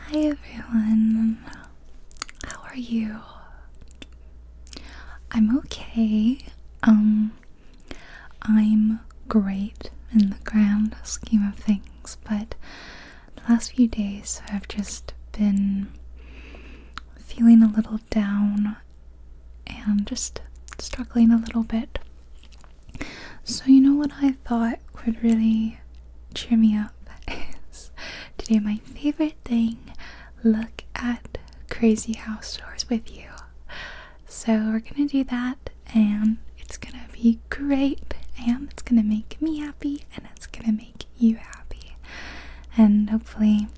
Hi everyone, how are you? I'm okay. Um, I'm great in the grand scheme of things, but the last few days I've just been feeling a little down and just struggling a little bit. So, you know what I thought would really cheer me up is to do my favorite thing look at crazy house tours with you. So, we're gonna do that, and it's gonna be great, and it's gonna make me happy, and it's gonna make you happy. And hopefully,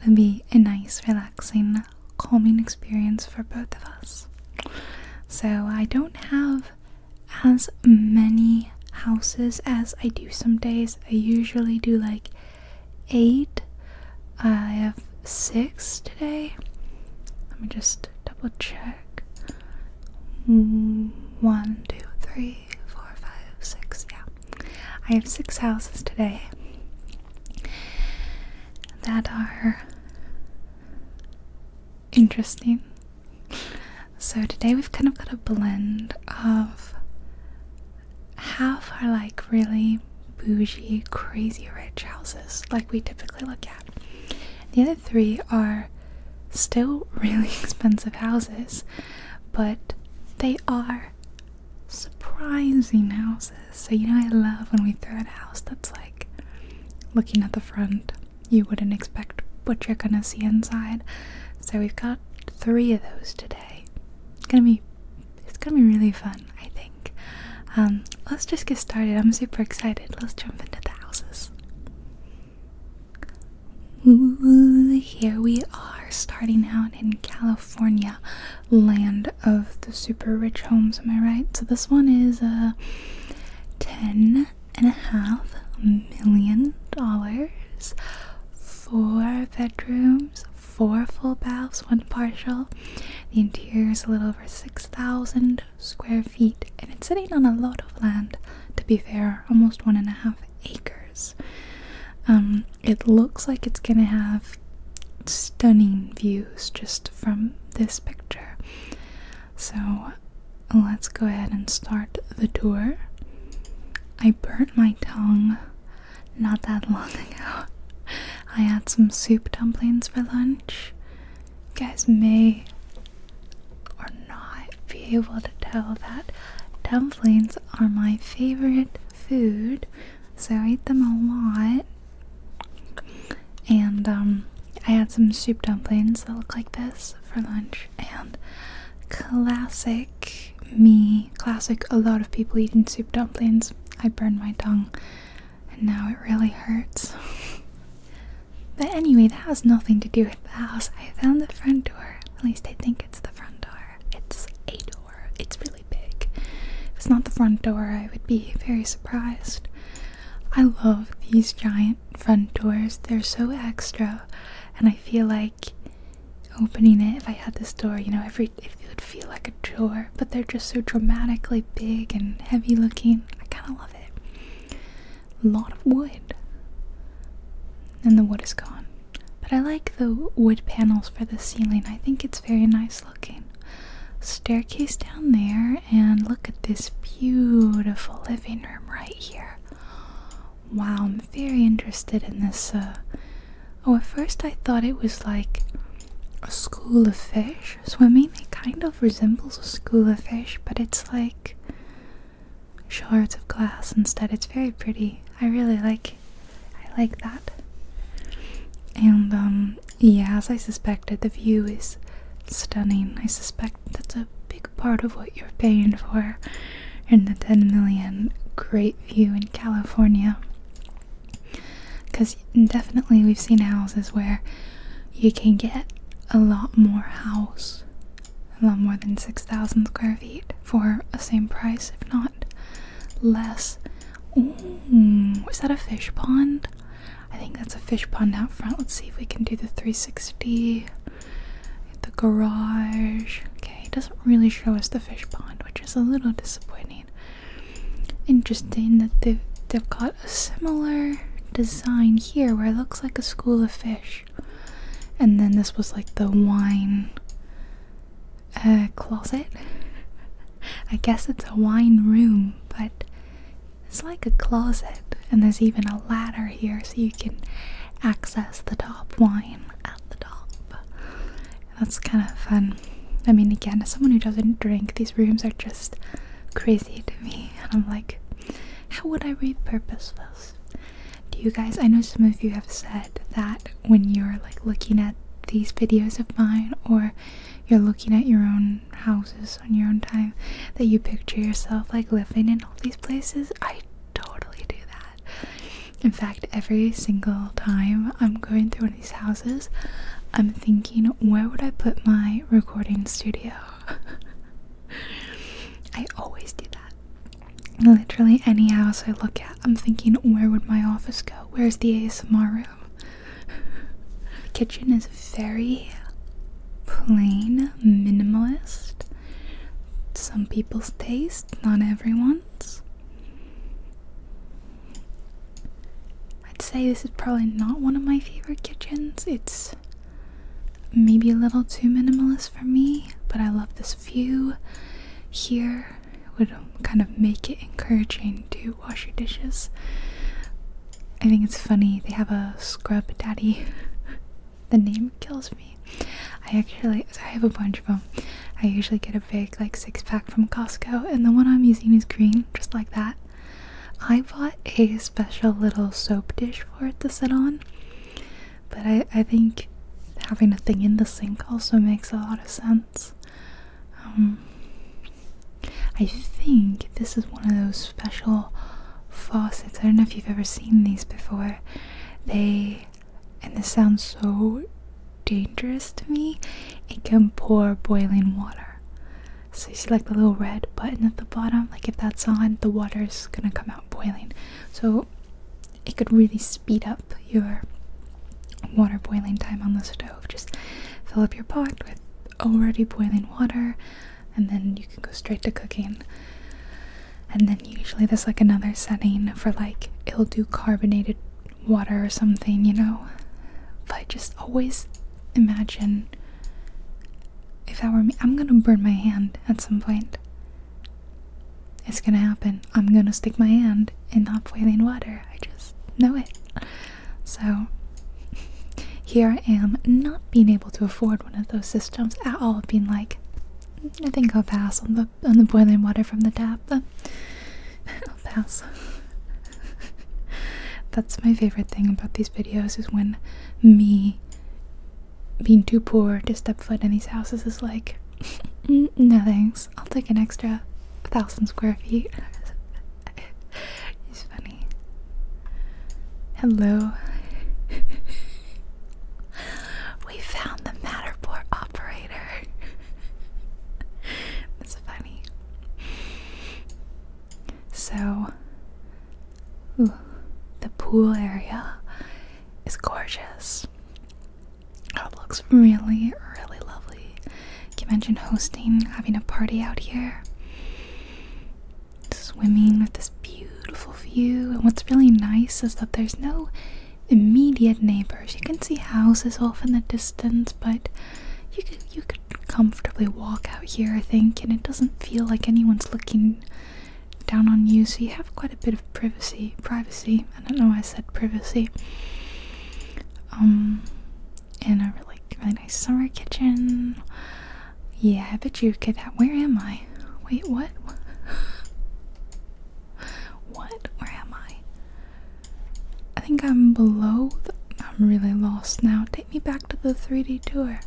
it'll be a nice, relaxing, calming experience for both of us. So, I don't have as many houses as I do some days. I usually do like eight. I have six today. Let me just double check. One, two, three, four, five, six. Yeah. I have six houses today that are interesting so today we've kind of got a blend of half are like really bougie, crazy rich houses like we typically look at. The other three are still really expensive houses, but they are surprising houses. So, you know, I love when we throw out a house that's like looking at the front you wouldn't expect what you're gonna see inside. So we've got three of those today. It's gonna be it's gonna be really fun, I think. Um, let's just get started. I'm super excited. Let's jump into the houses. Ooh, here we are, starting out in California, land of the super rich homes. Am I right? So this one is a uh, ten and a half million dollars, four bedrooms, four full baths, one partial. The interior is a little over 6,000 square feet, and it's sitting on a lot of land, to be fair, almost one and a half acres. Um, it looks like it's gonna have stunning views just from this picture. So let's go ahead and start the tour. I burnt my tongue not that long ago. I had some soup dumplings for lunch. You guys may or not be able to tell that dumplings are my favorite food, so I eat them a lot. And um, I had some soup dumplings that look like this for lunch and classic me, classic a lot of people eating soup dumplings. I burned my tongue and now it really hurts. but anyway, that has nothing to do with the house. I found the front door. At least I think it's the front door. It's a door. It's really big. If it's not the front door, I would be very surprised. I love these giant front doors. They're so extra, and I feel like opening it. If I had this door, you know, every it would feel like a door, but they're just so dramatically big and heavy looking. I kind of love it. A lot of wood, and the wood is gone. But I like the wood panels for the ceiling. I think it's very nice looking. Staircase down there and look at this beautiful living room right here. Wow, I'm very interested in this. Uh, oh, at first I thought it was like a school of fish swimming. It kind of resembles a school of fish, but it's like shards of glass instead. It's very pretty. I really like I like that. And um yeah, as I suspected, the view is stunning. I suspect that's a big part of what you're paying for in the 10 million great view in California. Because definitely we've seen houses where you can get a lot more house, a lot more than 6,000 square feet for the same price, if not less. Ooh, is that a fish pond? I think that's a fish pond out front. Let's see if we can do the 360 the garage. Okay, it doesn't really show us the fish pond, which is a little disappointing. Interesting that they've, got a similar design here where it looks like a school of fish. And then this was like the wine uh, closet. I guess it's a wine room, but it's like a closet, and there's even a ladder here so you can access the top wine at the top. That's kind of fun. I mean, again, as someone who doesn't drink, these rooms are just crazy to me. And I'm like, how would I repurpose this? Do you guys, I know some of you have said that when you're like looking at these videos of mine or you're looking at your own houses on your own time, that you picture yourself like living in all these places, I totally do that. In fact, every single time I'm going through one of these houses, I'm thinking, where would I put my recording studio? I always do that. Literally any house I look at, I'm thinking, where would my office go? Where's the ASMR room? Kitchen is very plain, minimalist some people's taste, not everyone's. I'd say this is probably not one of my favorite kitchens. It's maybe a little too minimalist for me, but I love this view here. would kind of make it encouraging to wash your dishes. I think it's funny, they have a scrub daddy the name kills me. I actually I have a bunch of them. I usually get a big like six pack from Costco, and the one I'm using is green, just like that. I bought a special little soap dish for it to sit on, but I I think having a thing in the sink also makes a lot of sense. Um, I think this is one of those special faucets. I don't know if you've ever seen these before. They, and this sounds so dangerous to me, it can pour boiling water. So you see, like the little red button at the bottom, like if that's on, the water's gonna come out boiling. So it could really speed up your water boiling time on the stove. Just fill up your pot with already boiling water, and then you can go straight to cooking. And then usually there's like another setting for like it'll do carbonated water or something, you know. But just always imagine if that were me, I'm gonna burn my hand at some point. It's gonna happen. I'm gonna stick my hand in hot boiling water. I just know it. So here I am, not being able to afford one of those systems at all, being like, mm, I think I'll pass on the on the boiling water from the tap. I'll pass. That's my favorite thing about these videos is when me being too poor to step foot in these houses is like, mm, no thanks. I'll take an extra thousand square feet. it's funny. Hello. We found the Matterport operator. That's funny. So, the pool area is gorgeous. it looks really, really lovely. Can you imagine hosting, having a party out here? swimming with this beautiful view. And what's really nice is that there's no immediate neighbors. You can see houses off in the distance, but you could you could comfortably walk out here, I think, and it doesn't feel like anyone's looking down on you, so you have quite a bit of privacy. Privacy. I don't know why I said privacy. Um and a really, really nice summer kitchen. Yeah, I bet you could have. Where am I? Wait, what? what? Where am I? I think I'm below. I'm really lost now. Take me back to the 3D tour.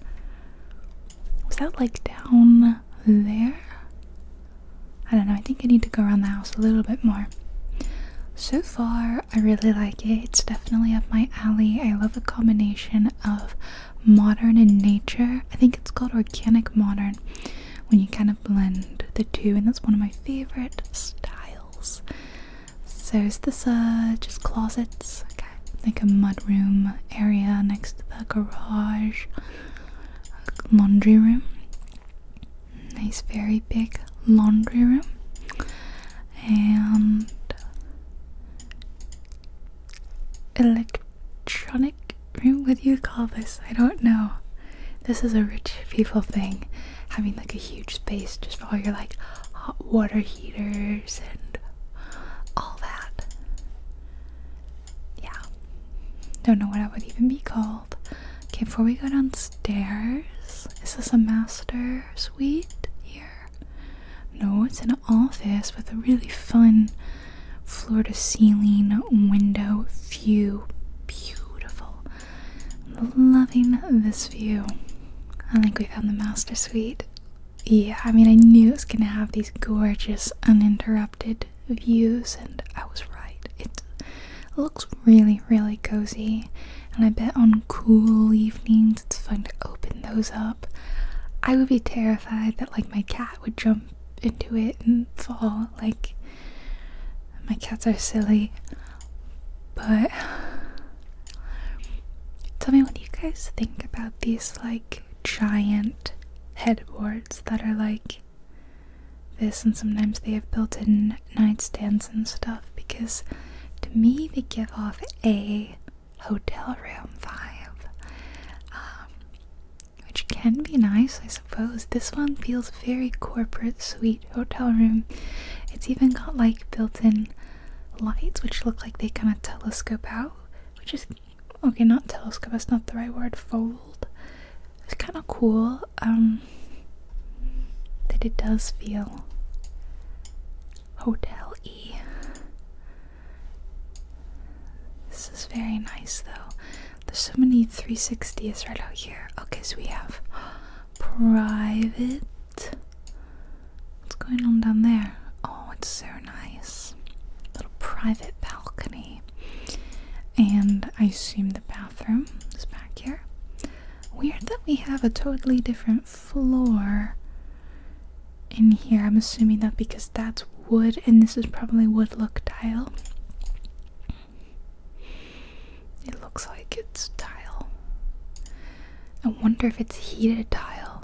Was that like down there? I don't know. I think I need to go around the house a little bit more. So far, I really like it. It's definitely up my alley. I love the combination of modern in nature. I think it's called organic modern when you kind of blend the two, and that's one of my favorite styles. So, is this uh, just closets? Okay, like a mudroom area next to the garage, laundry room. Nice, very big laundry room. And electronic room? What do you call this? I don't know. This is a rich people thing. Having like a huge space just for all your like hot water heaters and all that. Yeah. Don't know what I would even be called. Okay, before we go downstairs, is this a master suite here? No, it's an office with a really fun floor to ceiling window view. Beautiful. Loving this view. I think we found the master suite. Yeah, I mean, I knew it was gonna have these gorgeous, uninterrupted views, and I was right. It looks really, really cozy, and I bet on cool evenings it's fun to open those up. I would be terrified that, like, my cat would jump into it and fall. Like, my cats are silly. But tell me what you guys think about these, like, giant headboards that are like this, and sometimes they have built in nightstands and stuff because to me they give off a hotel room vibe. Um, which can be nice, I suppose. This one feels very corporate, suite hotel room. It's even got like built-in lights, which look like they kind of telescope out, which is okay. Not telescope. It's not the right word. Fold. It's kind of cool. Um, that it does feel hotel-y. This is very nice though. There's so many 360s right out here. Okay, so we have private. What's going on down there? Oh, it's so nice. Little private balcony. And I assume the bathroom is back here. Weird that we have a totally different floor in here. I'm assuming that because that's wood and this is probably wood look tile. It looks like it's tile. I wonder if it's heated tile.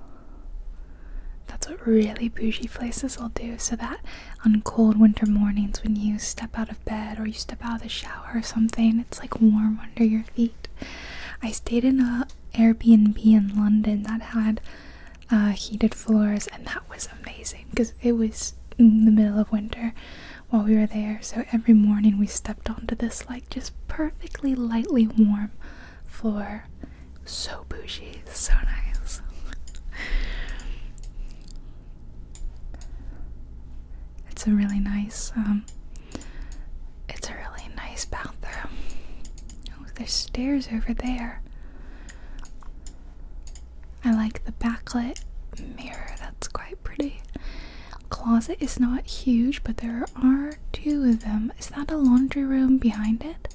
That's what really bougie places will do, so that on cold winter mornings when you step out of bed or you step out of the shower or something, it's like warm under your feet. I stayed in a Airbnb in London that had uh, heated floors, and that was amazing because it was the middle of winter while we were there. So every morning we stepped onto this like just perfectly lightly warm floor. So bougie, so nice. It's a really nice, um, it's a really nice bathroom. Oh, there's stairs over there. I like the backlit mirror, that's quite pretty. Closet is not huge, but there are two of them. Is that a laundry room behind it?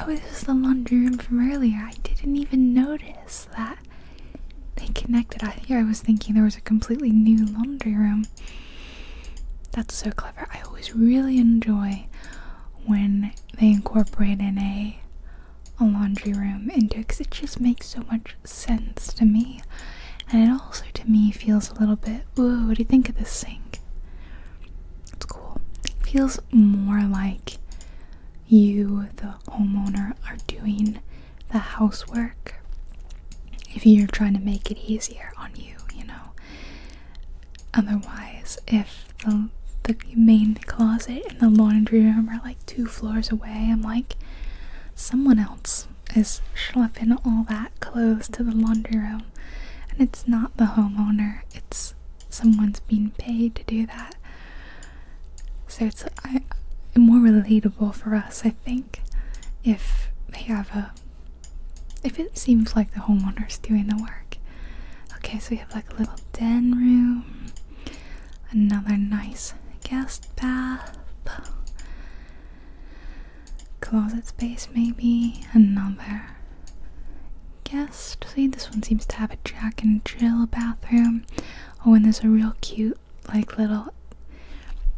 Oh, this is the laundry room from earlier. I didn't even notice that they connected. I here I was thinking there was a completely new laundry room. That's so clever. I always really enjoy when they incorporate a a laundry room into it because it just makes so much sense to me. And it also to me feels a little bit, ooh, what do you think of this sink? It's cool. It feels more like you, the homeowner, are doing the housework if you're trying to make it easier on you, you know. Otherwise, if the main closet and the laundry room are like two floors away, I'm like, someone else is schlepping all that clothes to the laundry room, and it's not the homeowner. It's someone's being paid to do that. So it's more relatable for us, I think, if they have a if it seems like the homeowner is doing the work. Okay, so we have like a little den room, another nice guest bath, closet space maybe, another guest. See, this one seems to have a Jack and Jill bathroom. Oh, and there's a real cute like little.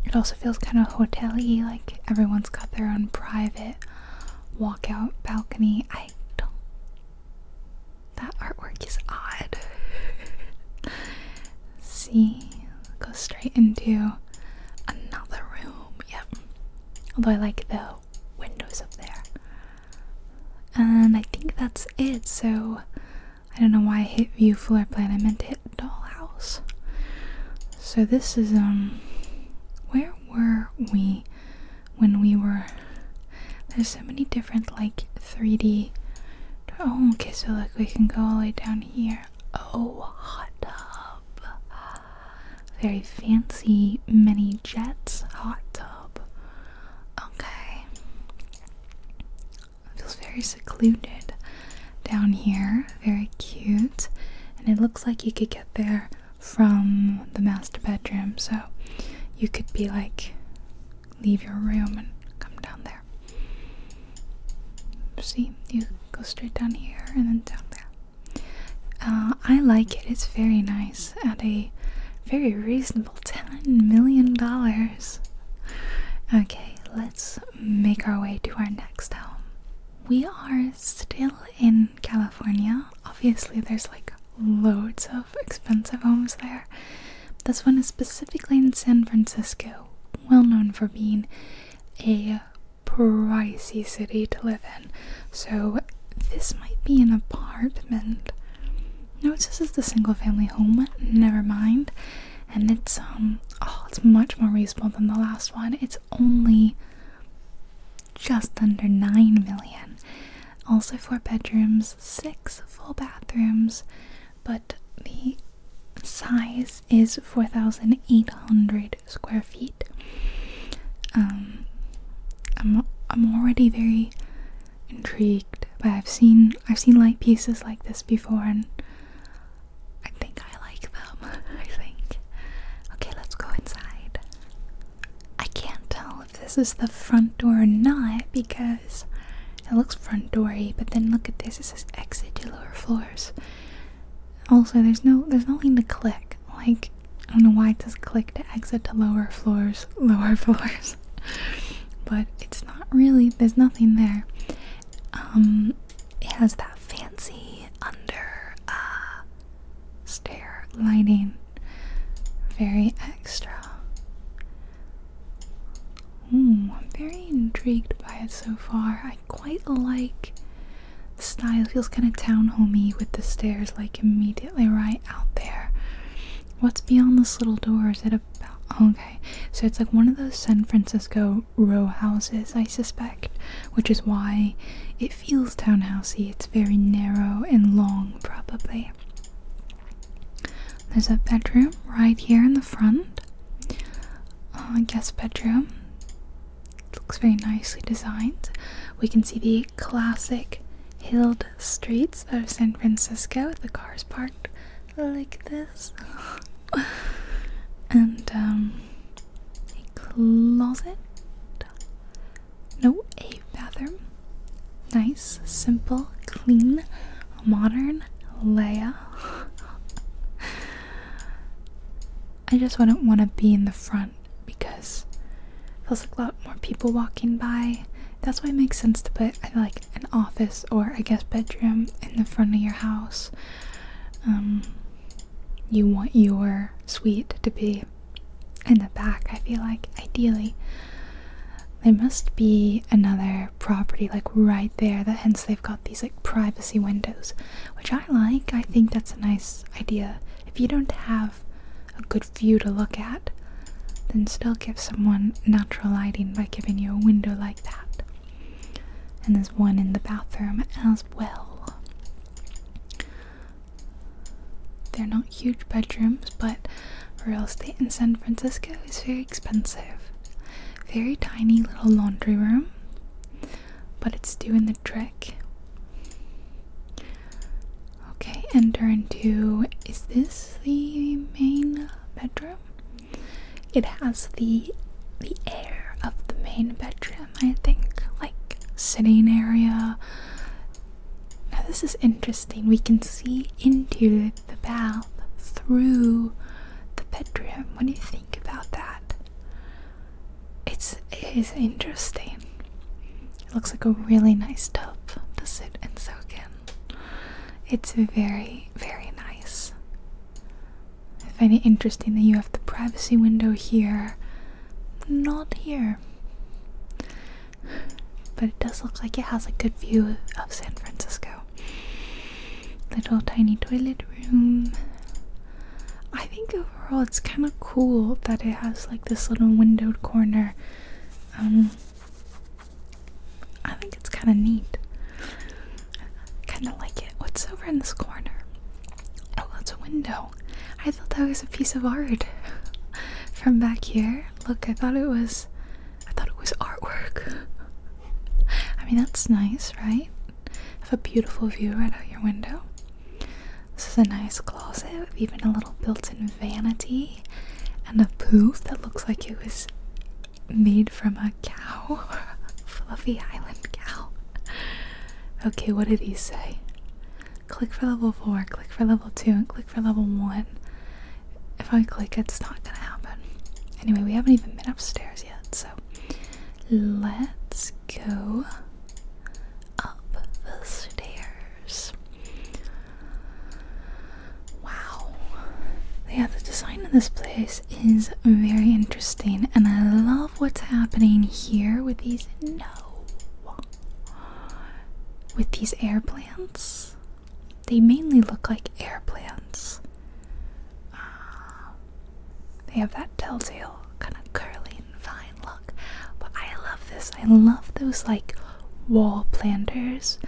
It also feels kind of hotel-y, like everyone's got their own private walkout balcony. I don't. That artwork is odd. See, go straight into another room. Yep. Although I like the windows up there. And I think that's it. So I don't know why I hit view floor plan. I meant to hit dollhouse. So this is um where were we? when we were there's so many different like 3D oh okay so look we can go all the way down here oh hot tub very fancy mini jets hot tub okay feels very secluded down here very cute and it looks like you could get there from the master bedroom, so you could be like, leave your room and come down there. See, you go straight down here and then down there. Uh, I like it, it's very nice at a very reasonable $10 million. Okay, let's make our way to our next home. We are still in California Obviously, there's like loads of expensive homes there. This one is specifically in San Francisco, well known for being a pricey city to live in. So, this might be an apartment. No, this is the single family home, never mind. And it's, um, oh, it's much more reasonable than the last one. It's only just under 9 million. Also, four bedrooms, six full bathrooms, but the size is 4,800 square feet. Um, I'm I'm already very intrigued, but I've seen I've seen light pieces like this before, and I think I like them. I think. Okay, let's go inside. I can't tell if this is the front door or not because it looks front doory, but then look at this, it says exit to lower floors. Also there's no there's nothing to click. Like I don't know why it says click to exit to lower floors lower floors. but it's not really there's nothing there. Um it has that fancy under uh stair lighting. Very extra. Hmm, I'm very intrigued by it so far. I quite like the style. feels kind of town homey with the stairs like immediately right out there. What's beyond this little door? Is it a okay? So it's like one of those San Francisco row houses, I suspect, which is why it feels townhousey. It's very narrow and long, probably. There's a bedroom right here in the front. Uh, guest bedroom. looks very nicely designed. We can see the classic hilled streets of San Francisco. The cars parked like this. and um, a closet no, a bathroom. Nice, simple, clean, modern, Leia. I just wouldn't want to be in the front because feels like a lot more people walking by. That's why it makes sense to put like an office or I guess bedroom in the front of your house. Um, you want your suite to be in the back, I feel like, ideally. There must be another property like right there, that hence they've got these like privacy windows, which I like. I think that's a nice idea. If you don't have a good view to look at, then still give someone natural lighting by giving you a window like that. And there's one in the bathroom as well. They're not huge bedrooms, but real estate in San Francisco is very expensive. Very tiny little laundry room, but it's doing the trick. Okay, enter into is this the main bedroom? It has the the air of the main bedroom, I think, like sitting area, now, this is interesting. We can see into the bath through the bedroom. What do you think about that? It's, it is interesting. It looks like a really nice tub to sit and soak in. It's very, very nice. I find it interesting that you have the privacy window here, not here but it does look like it has a good view of San Francisco. Little tiny toilet room. I think overall it's kind of cool that it has like this little windowed corner. Um, I think it's kind of neat. Kind of like it. What's over in this corner? Oh, that's a window. I thought that was a piece of art from back here. Look, I thought it was I thought it was artwork. I mean that's nice, right? Have a beautiful view right out your window. This is a nice closet with even a little built-in vanity and a poof that looks like it was made from a cow. Fluffy Island cow. Okay, what did he say? click for level 4, click for level 2, and click for level 1. If I click, it's not gonna happen. Anyway, we haven't even been upstairs yet, so let's go up the stairs. Wow. Yeah, the design of this place is very interesting, and I love what's happening here with these. No! with these air plants. They mainly look like air plants. Uh, they have that telltale kind of curling and fine look. But I love this. I love those like wall planters.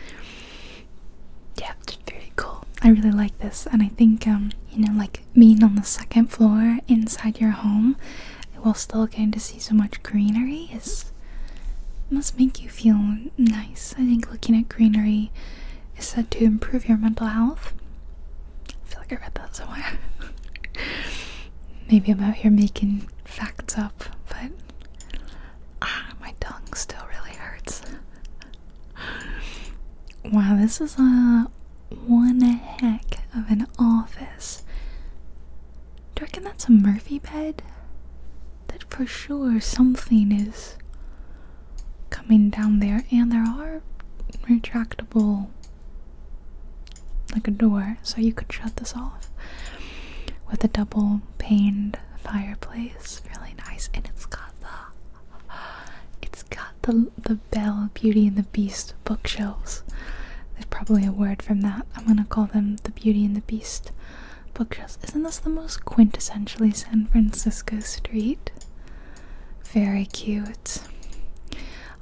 Yeah, very cool. I really like this, and I think um, you know, like being on the second floor inside your home while still getting to see so much greenery is must make you feel nice. I think looking at greenery is said to improve your mental health. I feel like I read that somewhere. Maybe I'm out here making facts up, but ah, my tongue still really hurts. Wow, this is a one heck of an office. Do you reckon that's a Murphy bed? That for sure something is coming down there, and there are retractable like a door, so you could shut this off with a double paned fireplace. Really nice, and it's got the it's got the the Belle Beauty and the Beast bookshelves there's probably a word from that. I'm gonna call them the Beauty and the Beast bookshelves. Isn't this the most quintessentially San Francisco street? Very cute.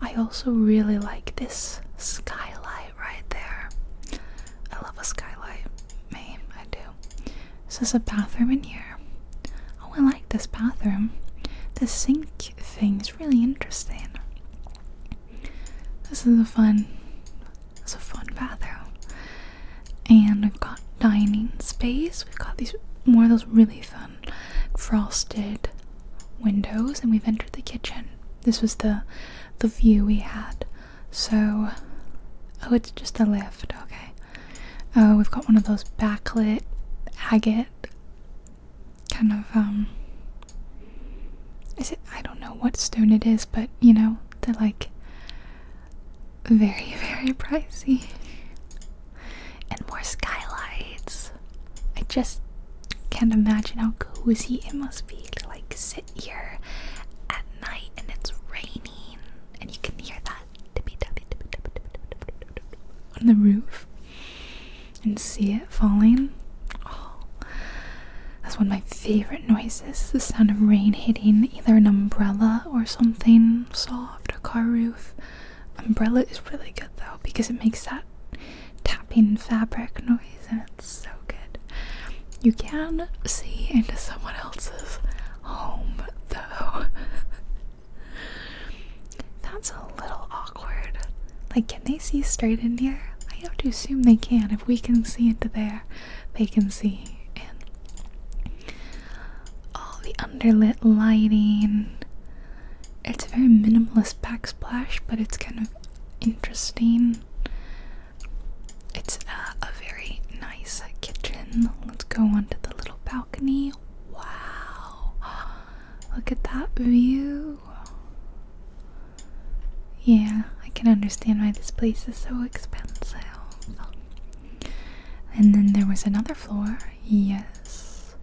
I also really like this skylight right there. I love a skylight. Me, I do. This is a bathroom in here. Oh, I like this bathroom. The sink thing is really interesting. This is a fun it's a fun bathroom. And we've got dining space. We've got these more of those really fun frosted windows and we've entered the kitchen. This was the the view we had. So oh it's just a lift, okay. Oh, we've got one of those backlit agate kind of um is it I don't know what stone it is, but you know, they're like very, very pricey. And more skylights. I just can't imagine how cozy it must be to like sit here at night and it's raining and you can hear that on the roof and see it falling. Oh, that's one of my favorite noises the sound of rain hitting either an umbrella or something soft, a car roof. Umbrella is really good though because it makes that tapping fabric noise and it's so good. You can see into someone else's home though. That's a little awkward. Like, can they see straight in here? I have to assume they can. If we can see into there, they can see And All the underlit lighting. It's a very minimalist backsplash, but it's kind of interesting. It's uh, a very nice kitchen. Let's go onto the little balcony. Wow! Look at that view. Yeah, I can understand why this place is so expensive. And then there was another floor. Yes.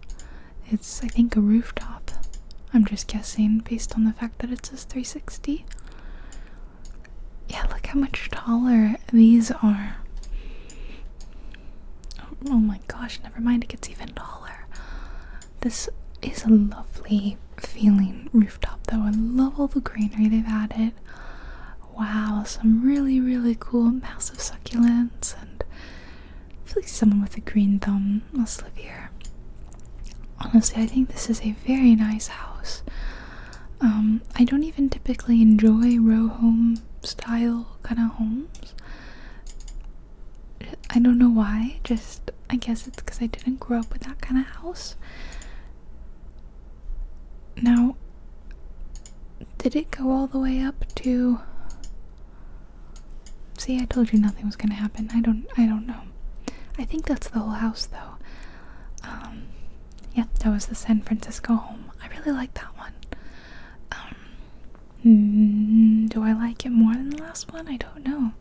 It's, I think, a rooftop. I'm just guessing based on the fact that it says 360. Yeah, look how much taller these are. Oh, oh my gosh, never mind, it gets even taller. This is a lovely feeling rooftop though. I love all the greenery they've added. Wow, some really, really cool massive succulents and I feel like someone with a green thumb must live here. Honestly, I think this is a very nice house. Um, I don't even typically enjoy row home style kind of homes. I don't know why, just I guess it's because I didn't grow up with that kind of house. Now, did it go all the way up to? See, I told you nothing was gonna happen. I don't. I don't know. I think that's the whole house, though. Um, yeah, that was the San Francisco home. I really like that one. Um, do I like it more than the last one? I don't know.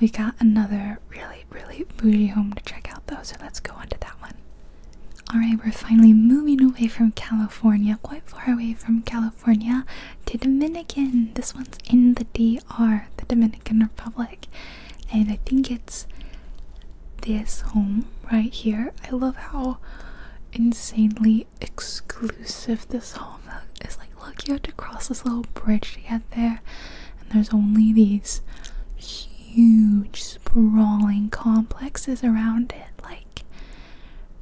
We got another really, really bougie home to check out though, so let's go on to that one. Alright, we're finally moving away from California, quite far away from California, to Dominican. This one's in the DR, the Dominican Republic. And I think it's this home right here. I love how insanely exclusive this home is like look, you have to cross this little bridge to get there, and there's only these huge, sprawling complexes around it. Like,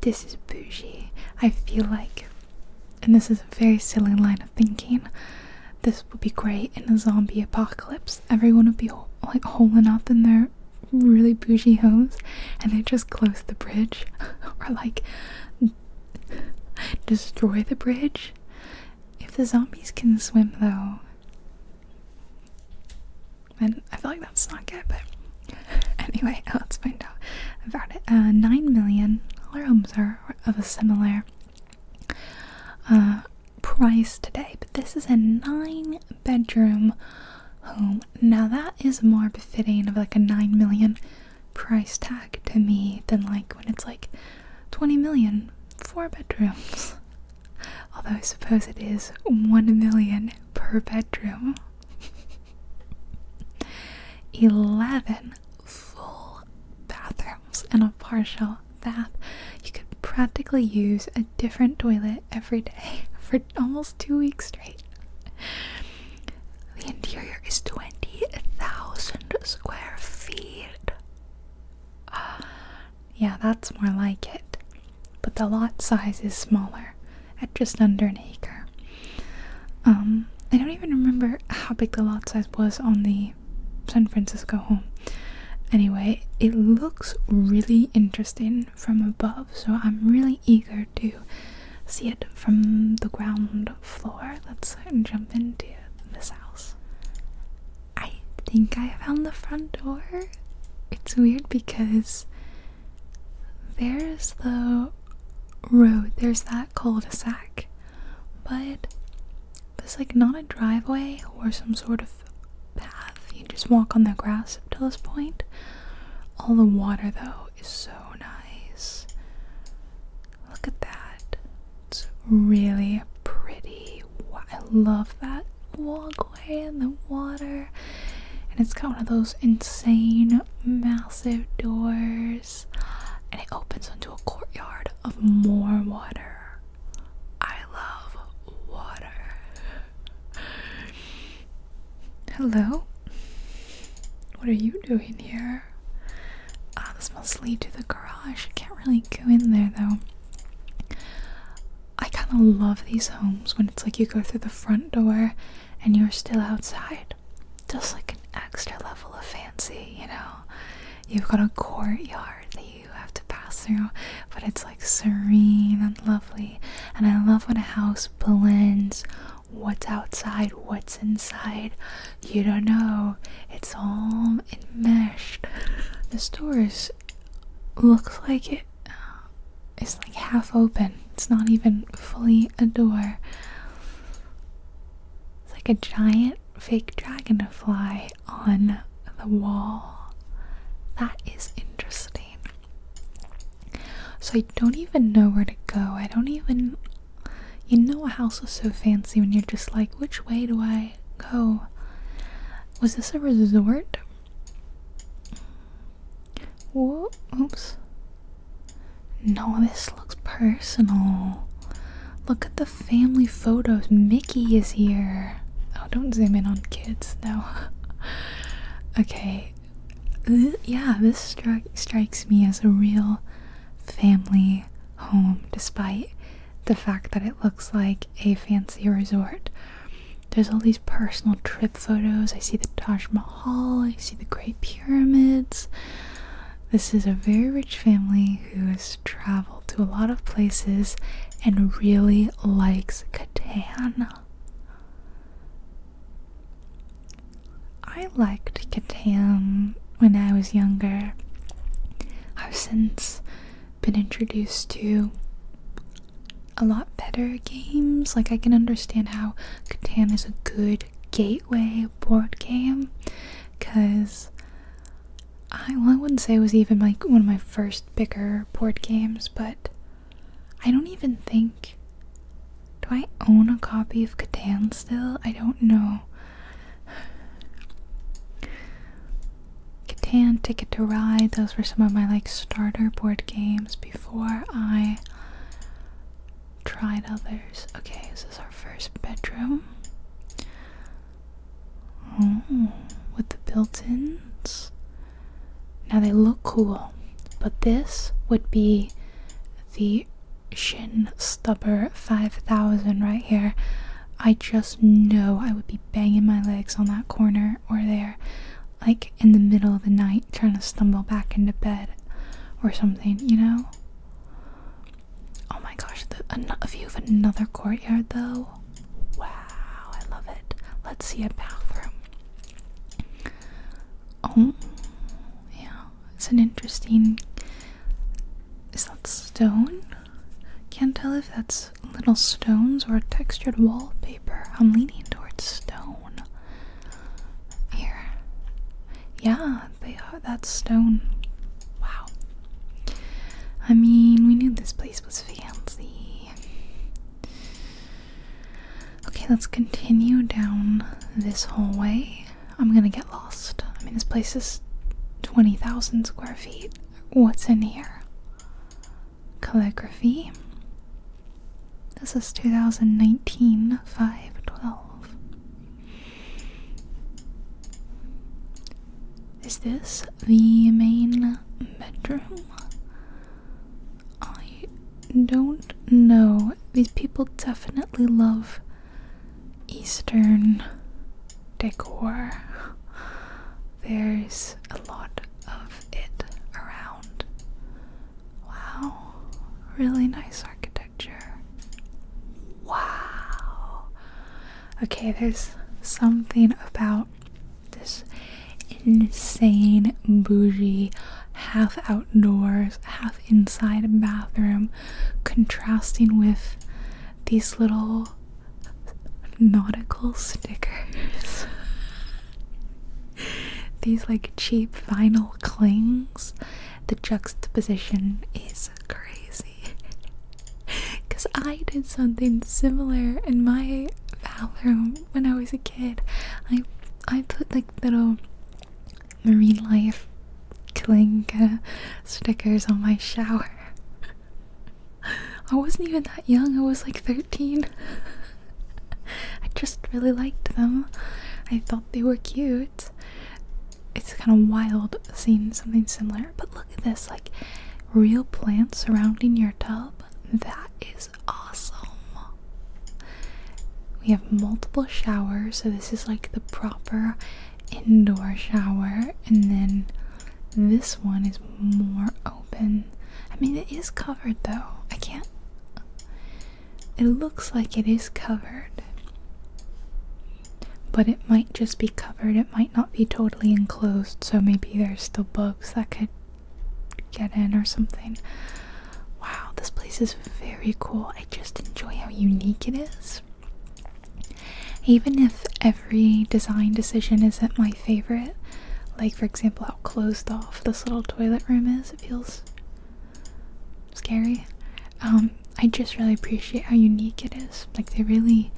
this is bougie. I feel like, and this is a very silly line of thinking, this would be great in a zombie apocalypse. Everyone would be like holing up in their really bougie homes and they just close the bridge or like destroy the bridge. If the zombies can swim, though, then I feel like that's not good, but anyway, let's find out about it. Uh, 9 million homes are of a similar uh, price today, but this is a 9 bedroom home. Now, that is more befitting of like a 9 million price tag to me than like when it's like 20 million four bedrooms although i suppose it is 1 million per bedroom 11 full bathrooms and a partial bath you could practically use a different toilet every day for almost two weeks straight the interior is 20,000 square feet. Ah, yeah, that's more like it. But the lot size is smaller, at just under an acre. Um, I don't even remember how big the lot size was on the San Francisco home. Anyway, it looks really interesting from above, so I'm really eager to see it from the ground floor. Let's jump into this house. I think I found the front door. It's weird because there's the road, there's that cul de sac, but it's like not a driveway or some sort of path. You just walk on the grass up to this point. All the water, though, is so nice. Look at that. It's really pretty. I love that walkway and the water. And it's got one of those insane massive doors. And it opens onto a courtyard of more water. I love water. Hello? What are you doing here? Uh, this must lead to the garage. I can't really go in there though. I kind of love these homes when it's like you go through the front door and you're still outside. Just like an extra level of fancy, you know? You've got a courtyard that you have to pass through, but it's like serene and lovely. And I love when a house blends what's outside, what's inside. You don't know. It's all enmeshed. The door is looks like it uh, is like half open. It's not even fully a door. It's like a giant fake dragonfly on the wall. That is interesting. So I don't even know where to go. I don't even you know a house is so fancy when you're just like, which way do I go? Was this a resort? Whoa, oops. No, this looks personal. Look at the family photos. Mickey is here. Oh, don't zoom in on kids. No. okay. yeah, this strikes me as a real family home despite the fact that it looks like a fancy resort. There's all these personal trip photos. I see the Taj Mahal, I see the Great Pyramids. This is a very rich family who has traveled to a lot of places and really likes Catan. I liked Catan when I was younger. I've since been introduced to a lot better games. Like, I can understand how Catan is a good gateway board game because I, well, I wouldn't say it was even like one of my first bigger board games, but I don't even think. Do I own a copy of Catan still? I don't know. Catan, Ticket to Ride, those were some of my like starter board games before I tried others. Okay, this is our first bedroom. with the built-ins. Now they look cool, but this would be the shin stubber 5000 right here. I just know I would be banging my legs on that corner or there, like in the middle of the night, trying to stumble back into bed or something, you know? Oh my gosh, the, a view of another courtyard though. Wow, I love it. Let's see a bathroom. Oh, yeah. It's an interesting. Is that stone? Can't tell if that's little stones or textured wallpaper. I'm leaning towards stone. Here. Yeah, they are. That's stone. Wow. I mean, we knew this place was fancy. Okay, let's continue down this hallway. I'm gonna get lost. I mean, this place is 20,000 square feet. What's in here? Calligraphy. This is 2019 5 12. Is this the main bedroom? I don't know. These people definitely love Eastern decor. There's a lot of it around. Wow, really nice architecture. Wow. Okay, there's something about this insane bougie half outdoors, half inside bathroom contrasting with these little nautical stickers. these like cheap vinyl clings. The juxtaposition is crazy. Because I did something similar in my bathroom when I was a kid. I I put like little marine life Klinga stickers on my shower. I wasn't even that young, I was like 13. I just really liked them. I thought they were cute. It's kind of wild seeing something similar, but look at this like real plants surrounding your tub. That is awesome. We have multiple showers, so this is like the proper indoor shower, and then this one is more open. I mean, it is covered though. I can't. It looks like it is covered. But it might just be covered, it might not be totally enclosed, so maybe there's still bugs that could get in or something. Wow, this place is very cool. I just enjoy how unique it is. Even if every design decision isn't my favorite, like for example, how closed off this little toilet room is, it feels scary. Um, I just really appreciate how unique it is. Like they really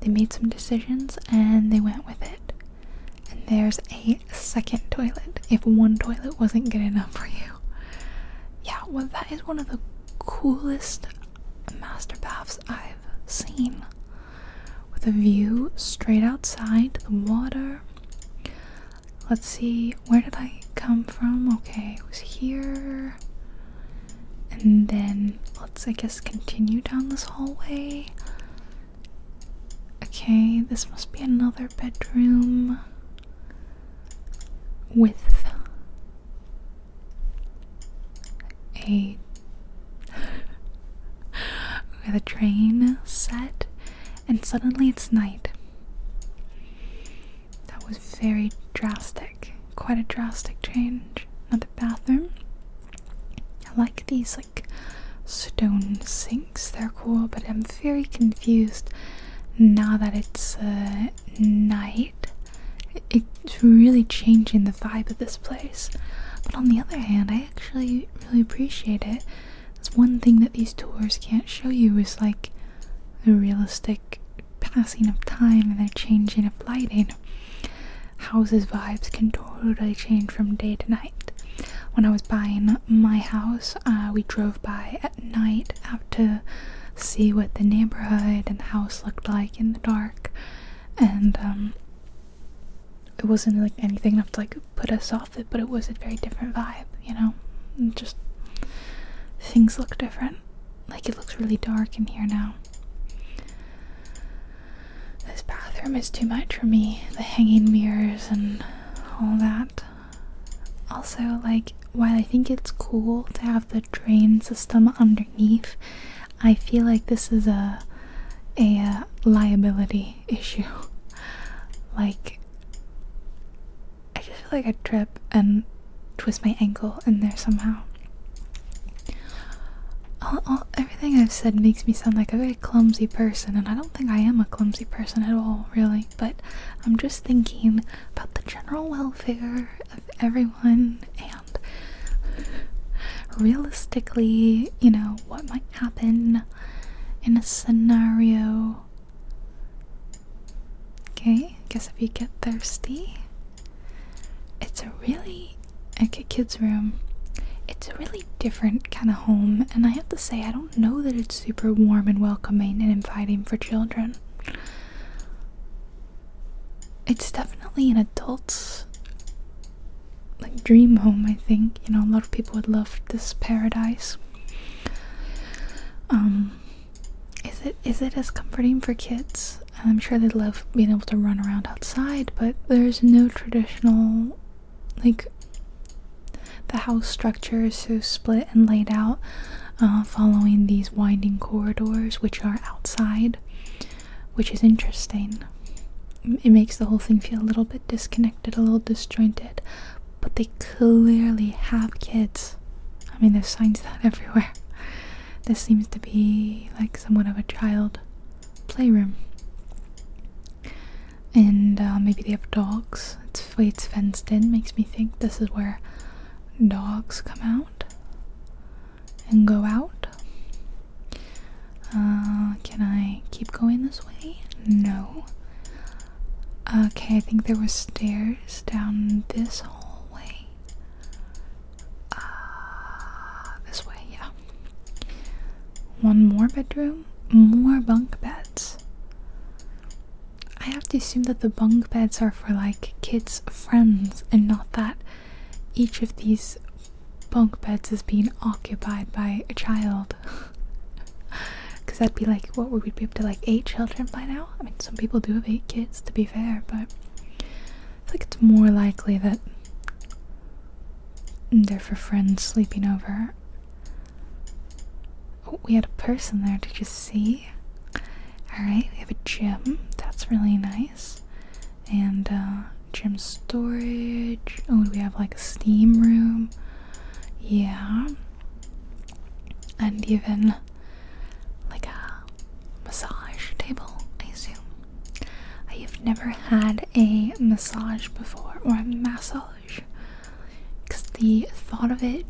they made some decisions and they went with it. And there's a second toilet if one toilet wasn't good enough for you. Yeah, well that is one of the coolest master baths I've seen with a view straight outside the water. Let's see, where did I come from? Okay, it was here. And then let's, I guess, continue down this hallway. Okay, this must be another bedroom with a with a train set and suddenly it's night. That was very drastic. Quite a drastic change. Another bathroom. I like these like stone sinks. They're cool, but I'm very confused now that it's uh, night it's really changing the vibe of this place. But on the other hand, I actually really appreciate it. That's one thing that these tours can't show you is like the realistic passing of time and the changing of lighting. Houses' vibes can totally change from day to night. When I was buying my house, uh, we drove by at night out to see what the neighborhood and the house looked like in the dark, and um, it wasn't like anything enough to like put us off it, but it was a very different vibe, you know. just things look different. Like it looks really dark in here now. This bathroom is too much for me. The hanging mirrors and all that. Also, like, while I think it's cool to have the drain system underneath, I feel like this is a a, uh, liability issue. like I just feel like I'd trip and twist my ankle in there somehow. all, everything I've said makes me sound like a very clumsy person, and I don't think I am a clumsy person at all, really. But I'm just thinking about the general welfare of everyone realistically, you know, what might happen in a scenario. Okay, guess if you get thirsty, it's a really okay kids' room. It's a really different kind of home, and I have to say, I don't know that it's super warm and welcoming and inviting for children it's definitely an adult's like dream home i think you know a lot of people would love this paradise um is it is it as comforting for kids i'm sure they would love being able to run around outside but there's no traditional like the house structure is so split and laid out uh, following these winding corridors which are outside which is interesting. It makes the whole thing feel a little bit disconnected, a little disjointed, but they clearly have kids. I mean, there's signs that everywhere. This seems to be like somewhat of a child playroom. And uh, maybe they have dogs. It's it's fenced in makes me think this is where dogs come out and go out. Uh, can I keep going this way? No. Okay, I think there were stairs down this hallway. Uh, this way, yeah. One more bedroom, more bunk beds. I have to assume that the bunk beds are for like kids' friends and not that each of these bunk beds is being occupied by a child. Because that'd be like, what would we be up to, like eight children by now? I mean, some people do have eight kids, to be fair, but I think it's more likely that they're for friends sleeping over. Oh, we had a person there, did you see? Alright, we have a gym. That's really nice and uh, gym storage. Oh, we have like a steam room? Yeah, and even like a massage table, I assume. I have never had a massage before or a massage because the thought of it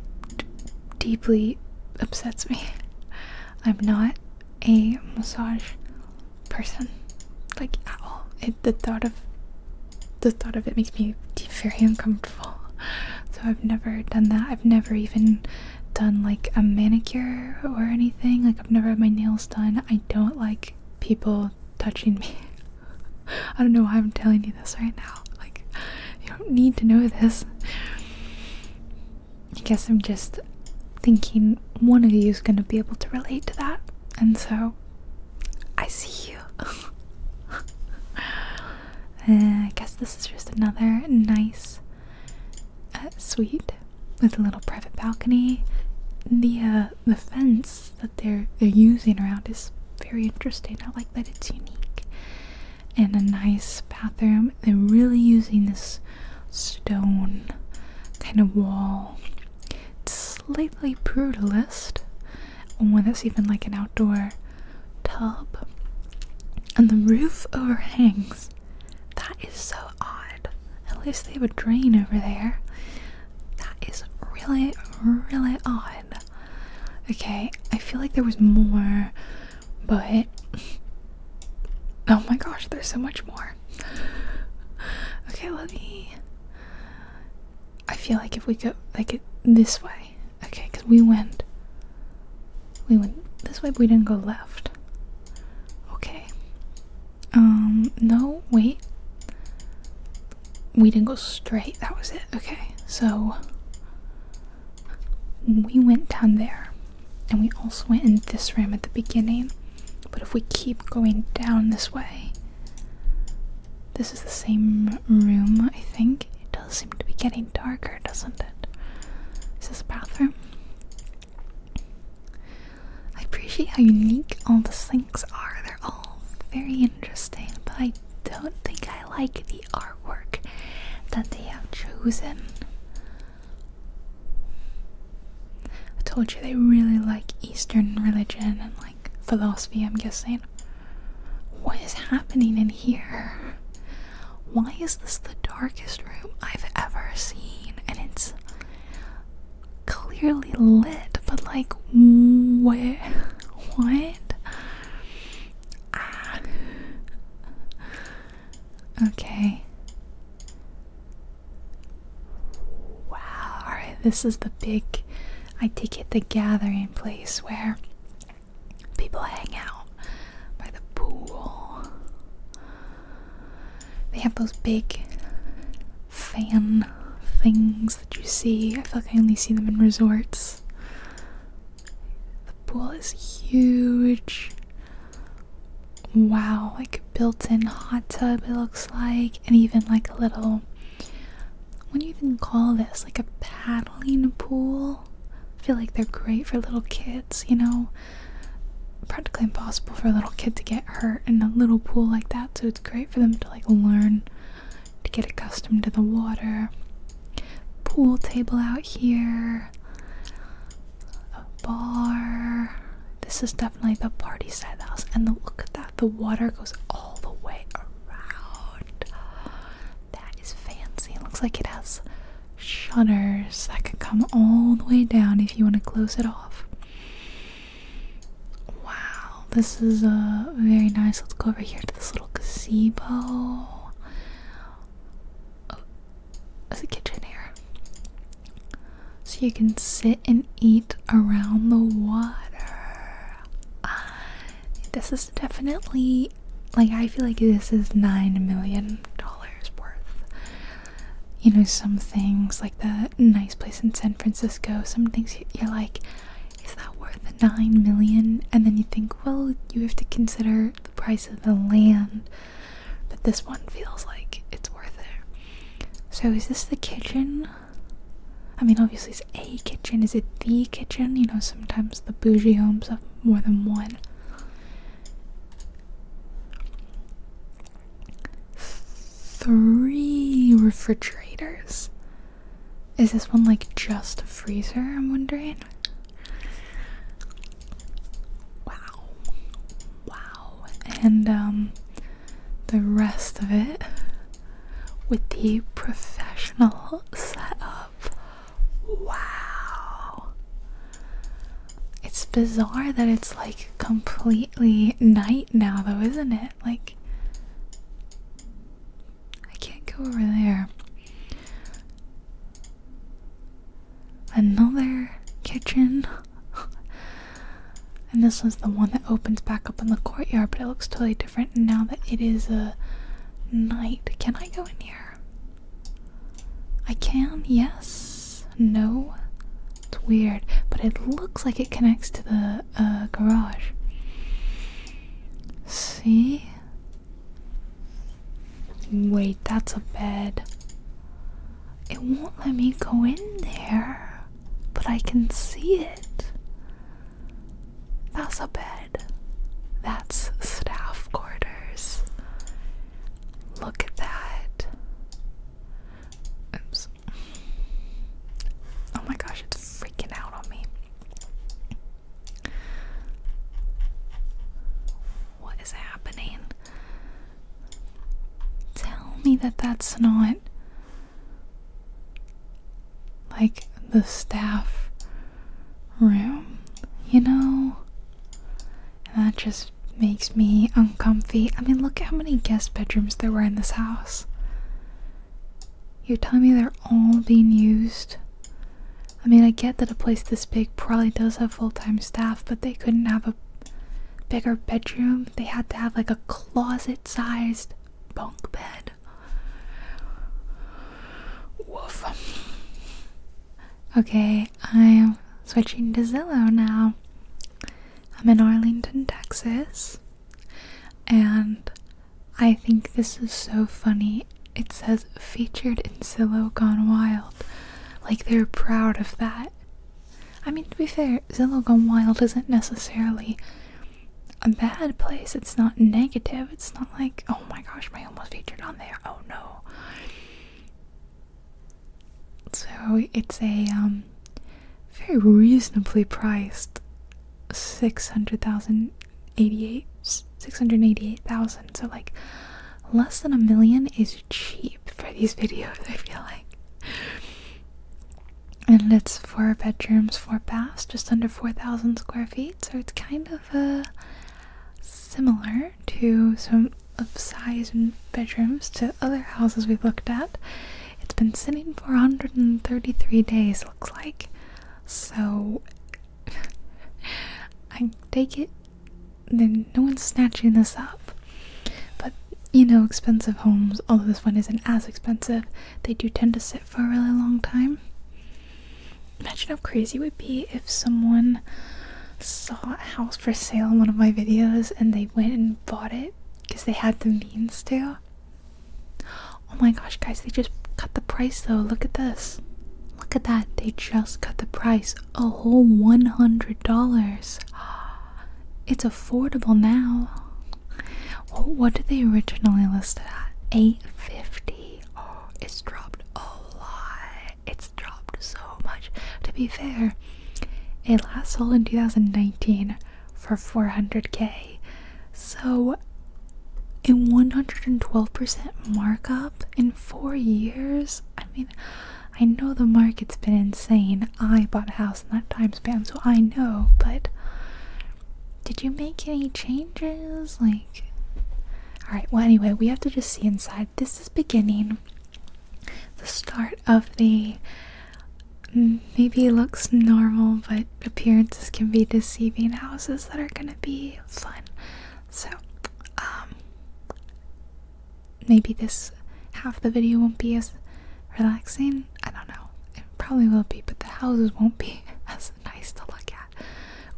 deeply upsets me. I'm not a massage person, like at all. the thought of the thought of it makes me very uncomfortable. So I've never done that. I've never even done like a manicure or anything. Like I've never had my nails done. I don't like people touching me. I don't know why I'm telling you this right now. Like you don't need to know this. I guess I'm just thinking one of you is going to be able to relate to that. And so I see you. Uh, I guess this is just another nice uh, suite with a little private balcony. The uh, the fence that they're they're using around is very interesting. I like that it's unique and a nice bathroom. They're really using this stone kind of wall. It's slightly brutalist. One that's even like an outdoor tub. And the roof overhangs. That is so odd. At least they have a drain over there. That is really, really odd. Okay, I feel like there was more but oh my gosh, there's so much more. Okay, let me. I feel like if we go like it this way, okay, because we went, we went this way, we didn't go left. Okay. Um. No. Wait. We didn't go straight. That was it. Okay. So we went down there and we also went in this room at the beginning. But if we keep going down this way, this is the same room, I think. It does seem to be getting darker, doesn't it? Is this a bathroom? I appreciate how unique all the sinks are. They're all very interesting, but I don't think I like the artwork that they have chosen. I told you they really like Eastern religion and like philosophy, I'm guessing. What is happening in here? Why is this the darkest room I've ever seen? And it's clearly lit, but like, where? What? Ah. Okay. Wow, this is the big, I take it, the gathering place where people hang out by the pool. They have those big fan things that you see. I feel like I only see them in resorts. The pool is huge wow like built-in hot tub it looks like and even like a little what do you even call this like a paddling pool i feel like they're great for little kids you know practically impossible for a little kid to get hurt in a little pool like that so it's great for them to like learn to get accustomed to the water pool table out here a bar this is definitely the party side house. And look at that. The water goes all the way around. That is fancy. It looks like it has shutters that could come all the way down if you want to close it off. Wow, this is uh, very nice. Let's go over here to this little gazebo as a kitchen here. So you can sit and eat around the water. Ah, this is definitely like I feel like this is nine million dollars worth. You know, some things like the nice place in San Francisco, some things you're like, is that worth nine million? And then you think, well, you have to consider the price of the land but this one feels like it's worth it. So, is this the kitchen? I mean, obviously, it's a kitchen. Is it the kitchen? You know, sometimes the bougie homes have more than one. Three refrigerators. Is this one like just a freezer? I'm wondering. Wow. Wow. And um the rest of it with the professional setup. Wow. It's bizarre that it's like completely night now though, isn't it? Like I can't go over there another kitchen. and this is the one that opens back up in the courtyard, but it looks totally different now that it is a night. Can I go in here? I can, yes. No. It's weird, but it looks like it connects to the uh, garage. See? Wait, that's a bed. It won't let me go in there, but I can see it. That's a bed. That's staff quarters. Look at that. Oh my gosh, it's freaking out on me. What is happening? Tell me that that's not like the staff room, you know? And that just makes me uncomfy. I mean, look at how many guest bedrooms there were in this house. You're telling me they're all being used? I mean, I get that a place this big probably does have full time staff, but they couldn't have a bigger bedroom. They had to have like a closet sized bunk bed. Woof. Okay, I'm switching to Zillow now. I'm in Arlington, Texas, and I think this is so funny. It says featured in Zillow Gone Wild. Like they're proud of that. I mean, to be fair, Zillow Gone Wild isn't necessarily a bad place. It's not negative. It's not like, oh my gosh, my home was featured on there. Oh no. So it's a um, very reasonably priced 600,000, 688,000. So like less than a million is cheap for these videos, I feel like and it's four bedrooms, four baths, just under 4,000 square feet. So it's kind of uh, similar to some of size and bedrooms to other houses we've looked at. It's been sitting for 133 days, looks like. So I take it then no one's snatching this up. But you know, expensive homes, although this one isn't as expensive, they do tend to sit for a really long time. Imagine how crazy it would be if someone saw a house for sale in one of my videos and they went and bought it because they had the means to. Oh my gosh, guys, they just cut the price though. Look at this. Look at that. They just cut the price a whole $100. It's affordable now. What did they originally list it at? 850. Oh, it's dropped a lot. It's dropped so much. To be fair, it last sold in 2019 for 400k. So a 112% markup in 4 years. I mean, I know the market's been insane. I bought a house in that time span, so I know, but did you make any changes? Like, alright, well, anyway, we have to just see inside. This is beginning, the start of the mm, maybe looks normal, but appearances can be deceiving houses that are gonna be fun. So, um, maybe this half the video won't be as relaxing. I don't know. It probably will be, but the houses won't be as nice to look at.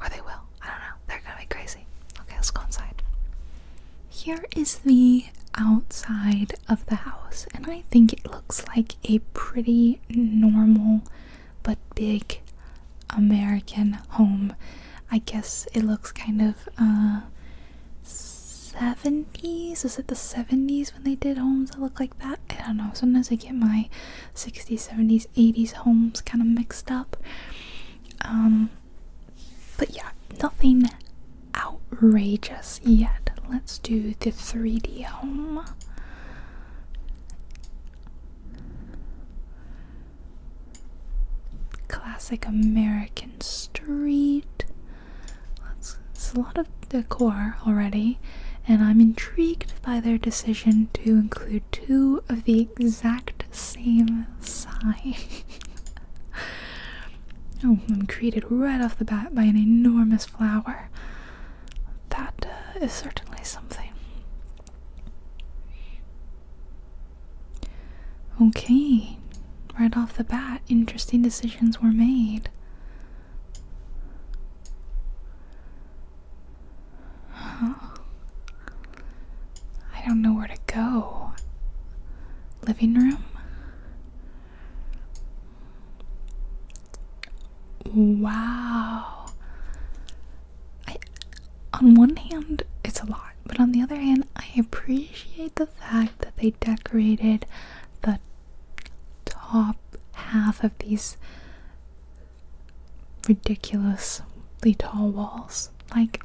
Or they will. I don't know. They're gonna be crazy. Okay, let's go inside. Here is the outside of the house, and I think it looks like a pretty normal but big American home. I guess it looks kind of uh, 70s? Was it the 70s when they did homes that look like that? I don't know. Sometimes I get my 60s, 70s, 80s homes kind of mixed up. Um, but yeah, nothing outrageous yet. Let's do the 3D home. Classic American street. It's a lot of decor already, and I'm intrigued by their decision to include two of the exact same sign. oh, I'm greeted right off the bat by an enormous flower. That uh, is certainly something. Okay, right off the bat, interesting decisions were made. I don't know where to go. Living room? Wow. I, on one hand, it's a lot, but on the other hand, I appreciate the fact that they decorated the top half of these ridiculously tall walls. Like,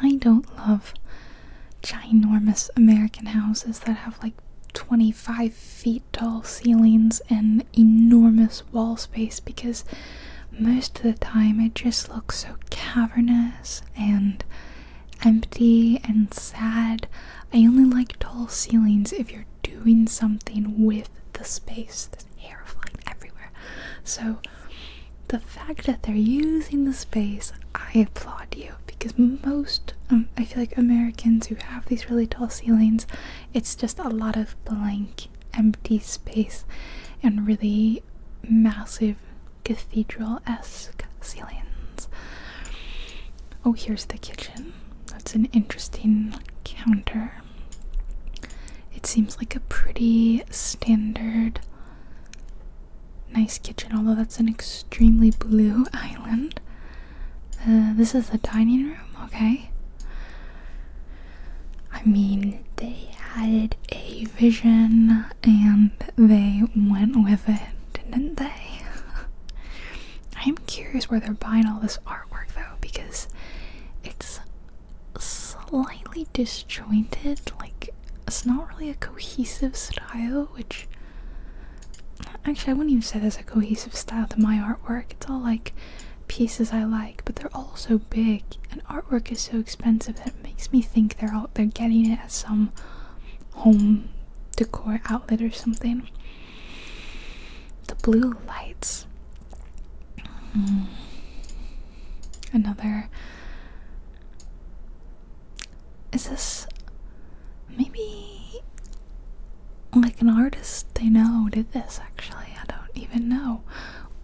I don't love ginormous American houses that have like 25 feet tall ceilings and enormous wall space because most of the time it just looks so cavernous and empty and sad. I only like tall ceilings if you're doing something with the space. There's hair flying everywhere. So the fact that they're using the space, I applaud you because most um, I feel like Americans who have these really tall ceilings, it's just a lot of blank, empty space and really massive cathedral-esque ceilings. Oh, here's the kitchen. That's an interesting counter. It seems like a pretty standard, nice kitchen, although that's an extremely blue island. Uh, this is the dining room, okay. I mean, they had a vision and they went with it, didn't they? I'm curious where they're buying all this artwork though, because it's slightly disjointed. Like, it's not really a cohesive style, which. Actually, I wouldn't even say there's a cohesive style to my artwork. It's all like pieces I like, but they're all so big, and artwork is so expensive that it makes me think they're all they're getting it at some home decor outlet or something. The blue lights. Mm. Another. Is this maybe like an artist they know did this actually? I don't even know.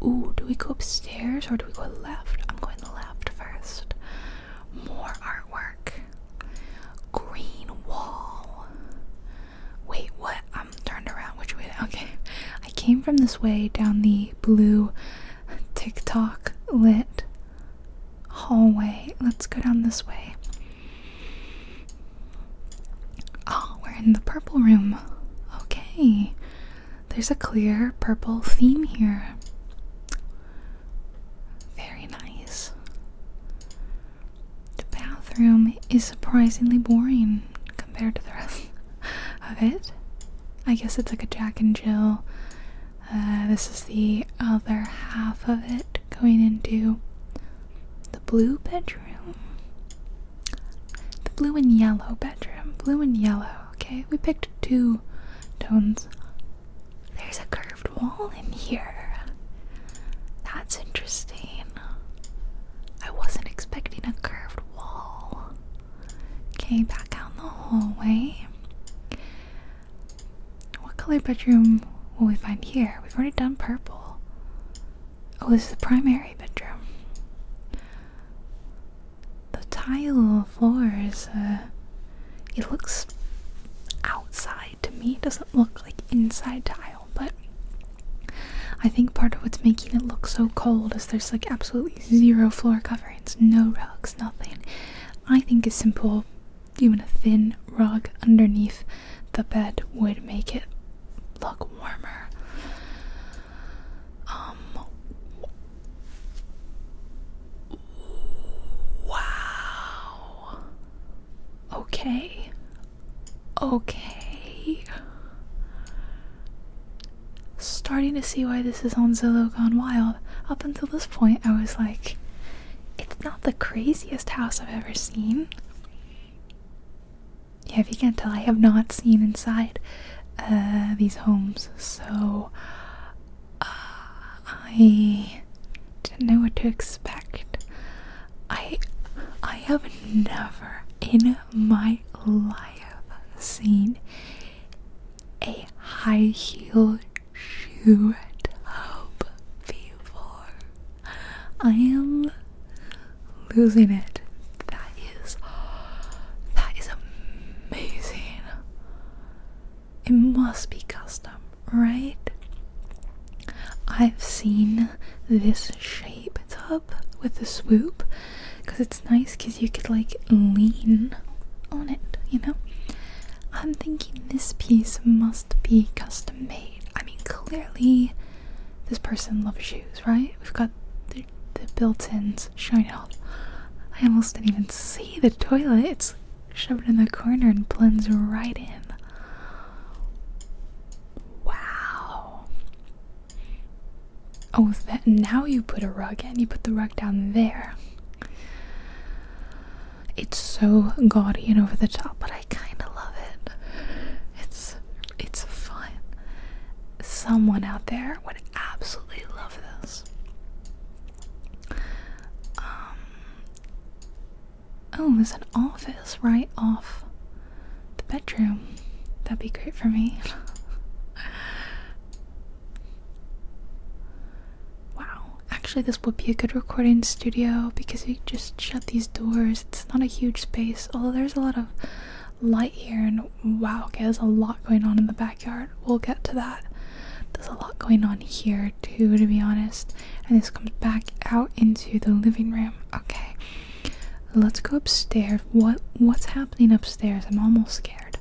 Ooh, do we go upstairs or do we go left? I'm going left first. More artwork. Green wall. Wait, what? I'm turned around. Which way? Okay. I came from this way down the blue TikTok lit hallway. Let's go down this way. Oh, we're in the purple room. Okay. There's a clear purple theme here. Very nice. The bathroom is surprisingly boring compared to the rest of it. I guess it's like a Jack and Jill. Uh, this is the other half of it going into the blue bedroom. The blue and yellow bedroom. Blue and yellow. Okay, we picked two tones there's a curved wall in here. That's interesting. I wasn't expecting a curved wall. Okay, back out in the hallway. What color bedroom will we find here? We've already done purple. Oh, this is the primary bedroom the tile floor is uh, it looks outside to me. It doesn't look like inside tile, but I think part of what's making it look so cold is there's like absolutely zero floor coverings, no rugs, nothing. I think a simple, even a thin rug underneath the bed would make it look warmer. Um, Wow. Okay. Okay. Starting to see why this is on Zillow Gone Wild. Up until this point, I was like, it's not the craziest house I've ever seen. Yeah, if you can't tell, I have not seen inside uh, these homes, so uh, I didn't know what to expect. I I have never in my life seen a high heeled shoe at tub before. I am losing it. That is that is amazing. It must be custom, right? I've seen this shape top with the swoop because it's nice because you could like lean on it, you know? I'm thinking this piece must be custom made. I mean, clearly, this person loves shoes, right? We've got the, built ins showing up. I almost didn't even see the toilets shoved in the corner and blends right in. Wow. Oh, that now you put a rug in. You put the rug down there. It's so gaudy and over the top, but I kind of love it. It's it's fun. Someone out there would absolutely love this. Um, oh, there's an office right off the bedroom. That'd be great for me. wow. Actually, this would be a good recording studio because you just shut these doors. It's not a huge space, although there's a lot of light here, and wow, okay, there's a lot going on in the background. Yard. We'll get to that. There's a lot going on here too, to be honest. And this comes back out into the living room. Okay, let's go upstairs. What what's happening upstairs? I'm almost scared.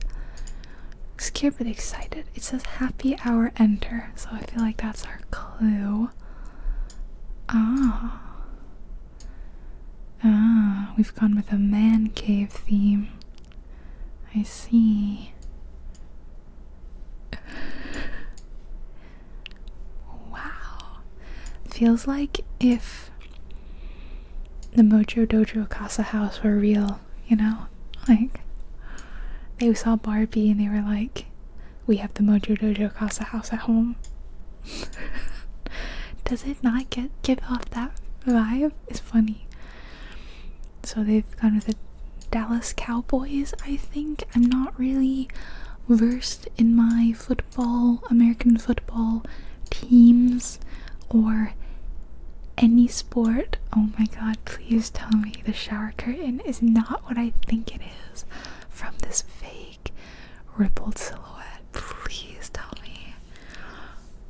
Scared but excited. It says happy hour enter, so I feel like that's our clue. Ah. Ah, we've gone with a man cave theme. I see. wow. Feels like if the Mojo Dojo Casa House were real, you know? Like, they saw Barbie and they were like, we have the Mojo Dojo Casa House at home. Does it not get give off that vibe? It's funny. So they've gone with the Dallas Cowboys, I think. I'm not really versed in my football, American football teams or any sport. Oh my god, please tell me the shower curtain is not what I think it is from this fake rippled silhouette. Please tell me.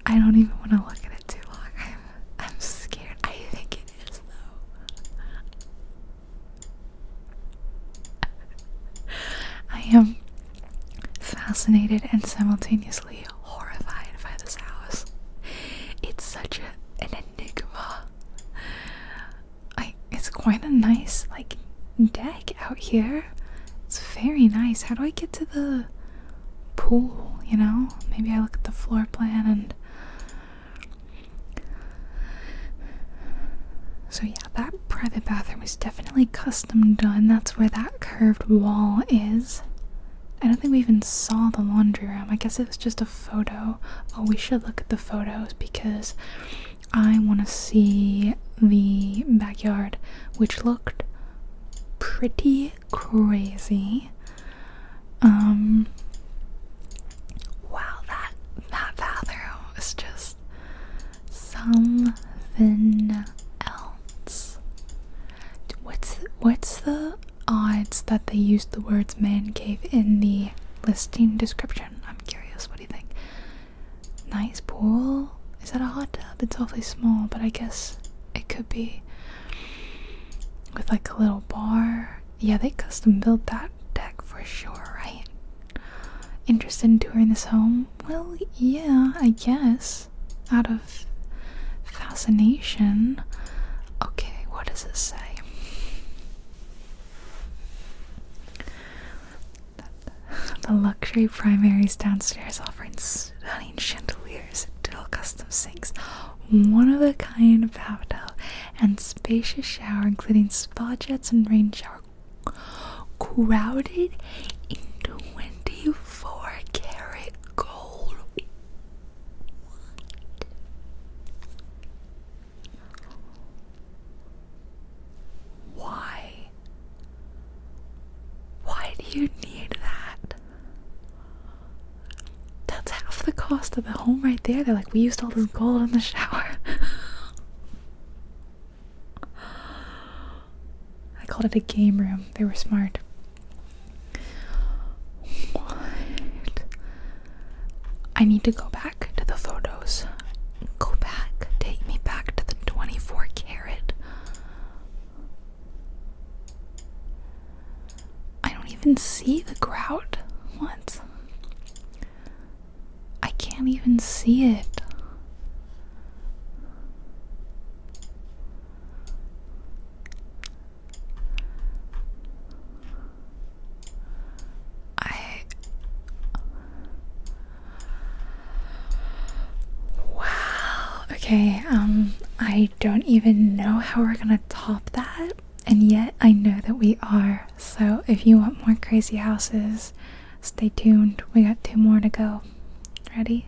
I don't even want to look at it too long. I'm, I'm scared. I think I am fascinated and simultaneously horrified by this house. It's such an enigma. I it's quite a nice like deck out here. It's very nice. How do I get to the pool, you know? Maybe I look at the floor plan and so, yeah, that private bathroom was definitely custom done. That's where that curved wall is. I don't think we even saw the laundry room. I guess it was just a photo. Oh, we should look at the photos because I want to see the backyard, which looked pretty crazy. Um Wow that that bathroom is just something else. What's what's the odds that they used the words man cave in the listing description? I'm curious, what do you think? Nice pool? Is that a hot tub? It's awfully small, but I guess it could be with like a little bar. Yeah, they custom built that deck for sure, right? Interested in touring this home? Well, yeah, I guess. Out of fascination. Okay, what does it say? The luxury primaries downstairs offering stunning chandeliers. Dual custom sinks, one of a kind bathtub, and spacious shower, including spa jets and rain shower, crowded in 24 karat gold. Why? Why do you need that? That's half the cost of the home right there. They're like, we used all this gold in the shower. I called it a game room. They were smart. What? I need to go back to the photos. Go back. Take me back to the 24 carat. I don't even see the grout. What? I can't even see it. I Wow. Okay, um I don't even know how we're going to top that. And yet, I know that we are. So, if you want more crazy houses, stay tuned. We got two more to go. Ready?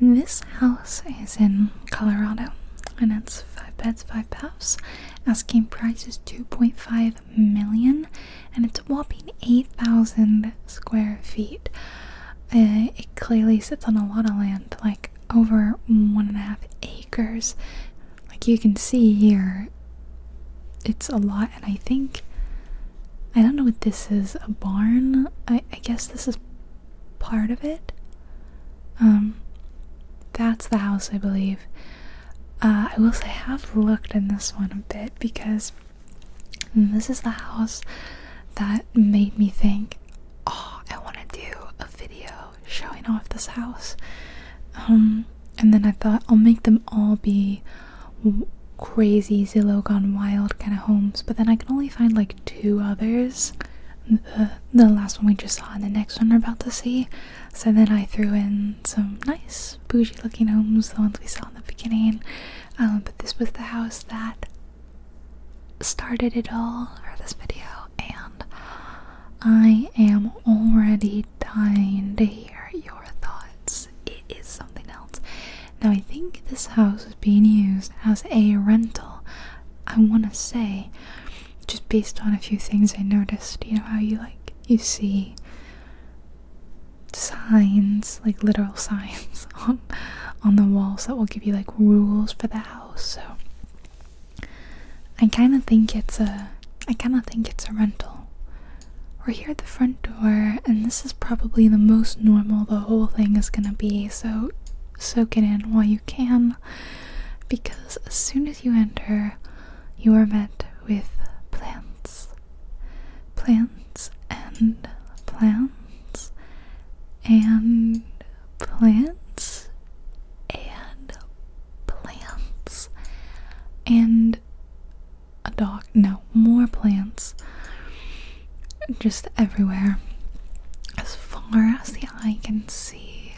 This house is in Colorado and it's five beds, five baths. Asking price is 2.5 million and it's a whopping 8,000 square feet. Uh, it clearly sits on a lot of land, like over one and a half acres. Like you can see here, it's a lot, and I think I don't know what this is a barn. I, I guess this is part of it. Um, that's the house, I believe. Uh, I will say I have looked in this one a bit because this is the house that made me think, oh, I want to do a video showing off this house. Um, and then I thought I'll make them all be crazy Zillow gone wild kind of homes, but then I can only find like two others. Uh, the, last one we just saw and the next one we're about to see. So then I threw in some nice bougie looking homes, the ones we saw in the beginning. Um, but this was the house that started it all, for this video and I am already dying to hear your thoughts. It is something else. Now, I think this house is being used as a rental. I want to say, just based on a few things I noticed, you know, how you like, you see signs, like literal signs on, on the walls that will give you like rules for the house. So, I kinda think it's a I kinda think it's a rental. We're here at the front door and this is probably the most normal the whole thing is gonna be, so soak it in while you can because as soon as you enter you are met with plants. Plants and plants and plants and plants and a dog. No, more plants just everywhere as far as the eye can see.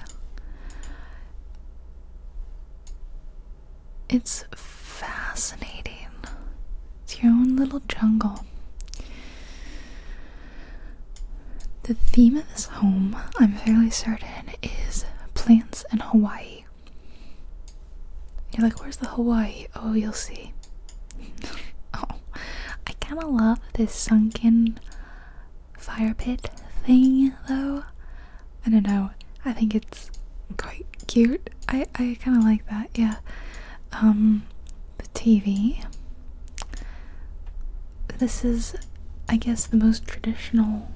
It's fascinating. It's your own little jungle. The theme of this home, I'm fairly certain, is plants and Hawaii. You're like, where's the Hawaii? Oh, you'll see. oh, I kind of love this sunken fire pit thing, though. I don't know. I think it's quite cute. I I kind of like that. Yeah. Um, the TV. This is, I guess, the most traditional.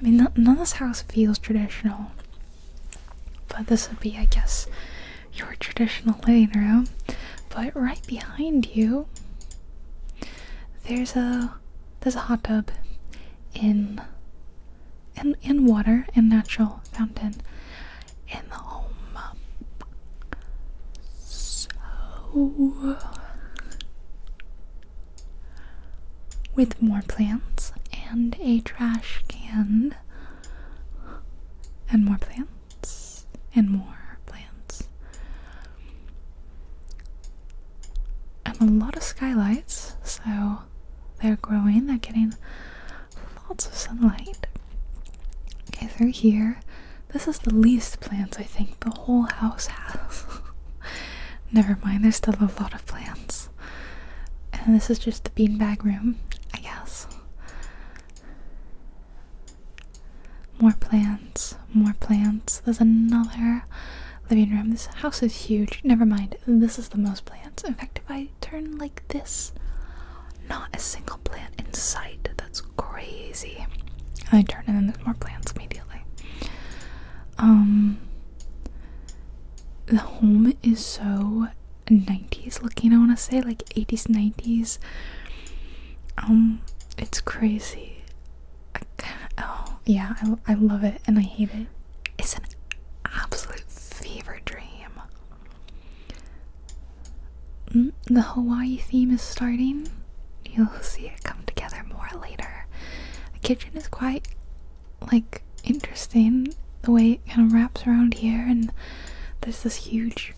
I mean, none of this house feels traditional, but this would be, I guess, your traditional living room. But right behind you, there's a there's a hot tub, in, in in water and natural fountain, in the home so, with more plants and a trash can, and more plants, and more plants, and a lot of skylights, so they're growing, they're getting lots of sunlight. Okay, through here this is the least plants I think the whole house has. Never mind, there's still a lot of plants. And this is just the beanbag room, I guess. More plants, more plants. There's another living room. This house is huge. Never mind, this is the most plants. In fact, if I turn like this, not a single plant in sight. That's crazy. I turn in and there's more plants immediately. Um the home is so 90s looking, I wanna say, like 80s, 90s. Um, it's crazy. oh yeah, I, I love it and I hate it. It's an absolute fever dream. Mm, the Hawaii theme is starting. You'll see it come together more later. The kitchen is quite like interesting the way it kind of wraps around here and there's this huge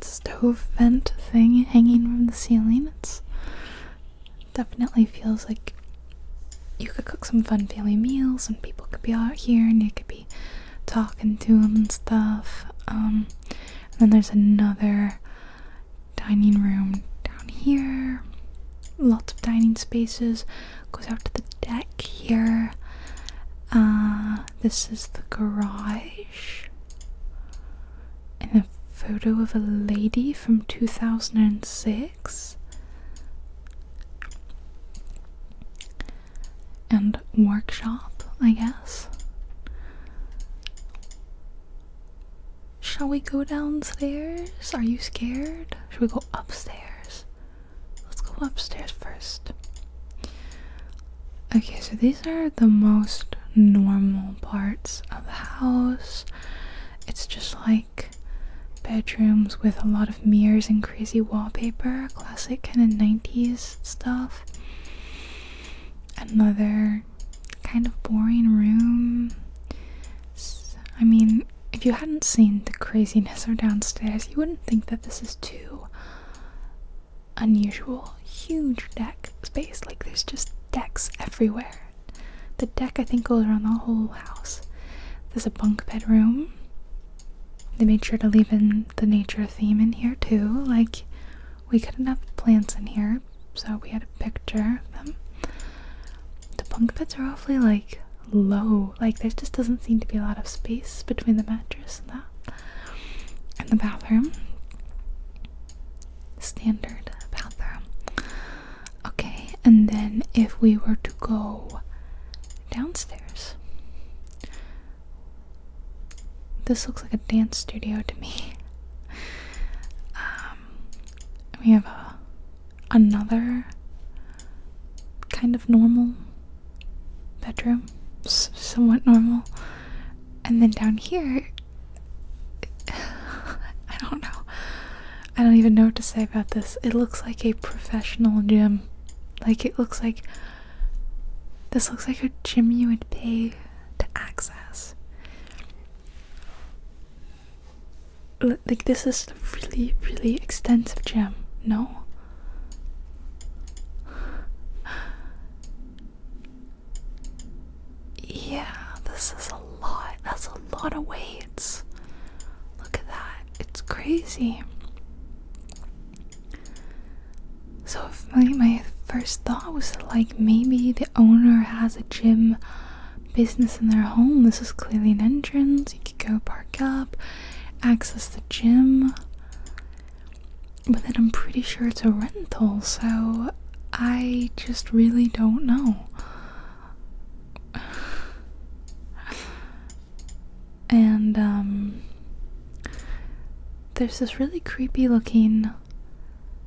stove vent thing hanging from the ceiling. It's definitely feels like you could cook some fun family meals and people could be out here and you could be talking to them and stuff. Um, and then there's another dining room down here. Lots of dining spaces. Goes out to the deck here. Uh, this is the garage. And a photo of a lady from 2006. And workshop, I guess. Shall we go downstairs? Are you scared? Should we go upstairs? Let's go upstairs first. Okay, so these are the most normal parts of the house. It's just like bedrooms with a lot of mirrors and crazy wallpaper, classic kind of 90s stuff. Another kind of boring room. I mean, if you hadn't seen the craziness of downstairs, you wouldn't think that this is too unusual. Huge deck space, like there's just decks everywhere. The deck, I think, goes around the whole house. There's a bunk bedroom. They made sure to leave in the nature theme in here, too. Like, we couldn't have plants in here, so we had a picture of them. The bunk beds are awfully like low, like there just doesn't seem to be a lot of space between the mattress and that. And the bathroom, standard bathroom. Okay, and then if we were to go downstairs, this looks like a dance studio to me. Um, um, we have a another kind of normal bedroom, somewhat normal, and then down here, I don't know. I don't even know what to say about this. It looks like a professional gym. Like it looks like this looks like a gym you would pay to access like this is really really extensive gem no yeah this is a lot that's a lot of weights look at that it's crazy so my, my first thought was like maybe the owner has a gym business in their home. This is clearly an entrance. You could go park up, access the gym. But then I'm pretty sure it's a rental, so I just really don't know. And um, there's this really creepy looking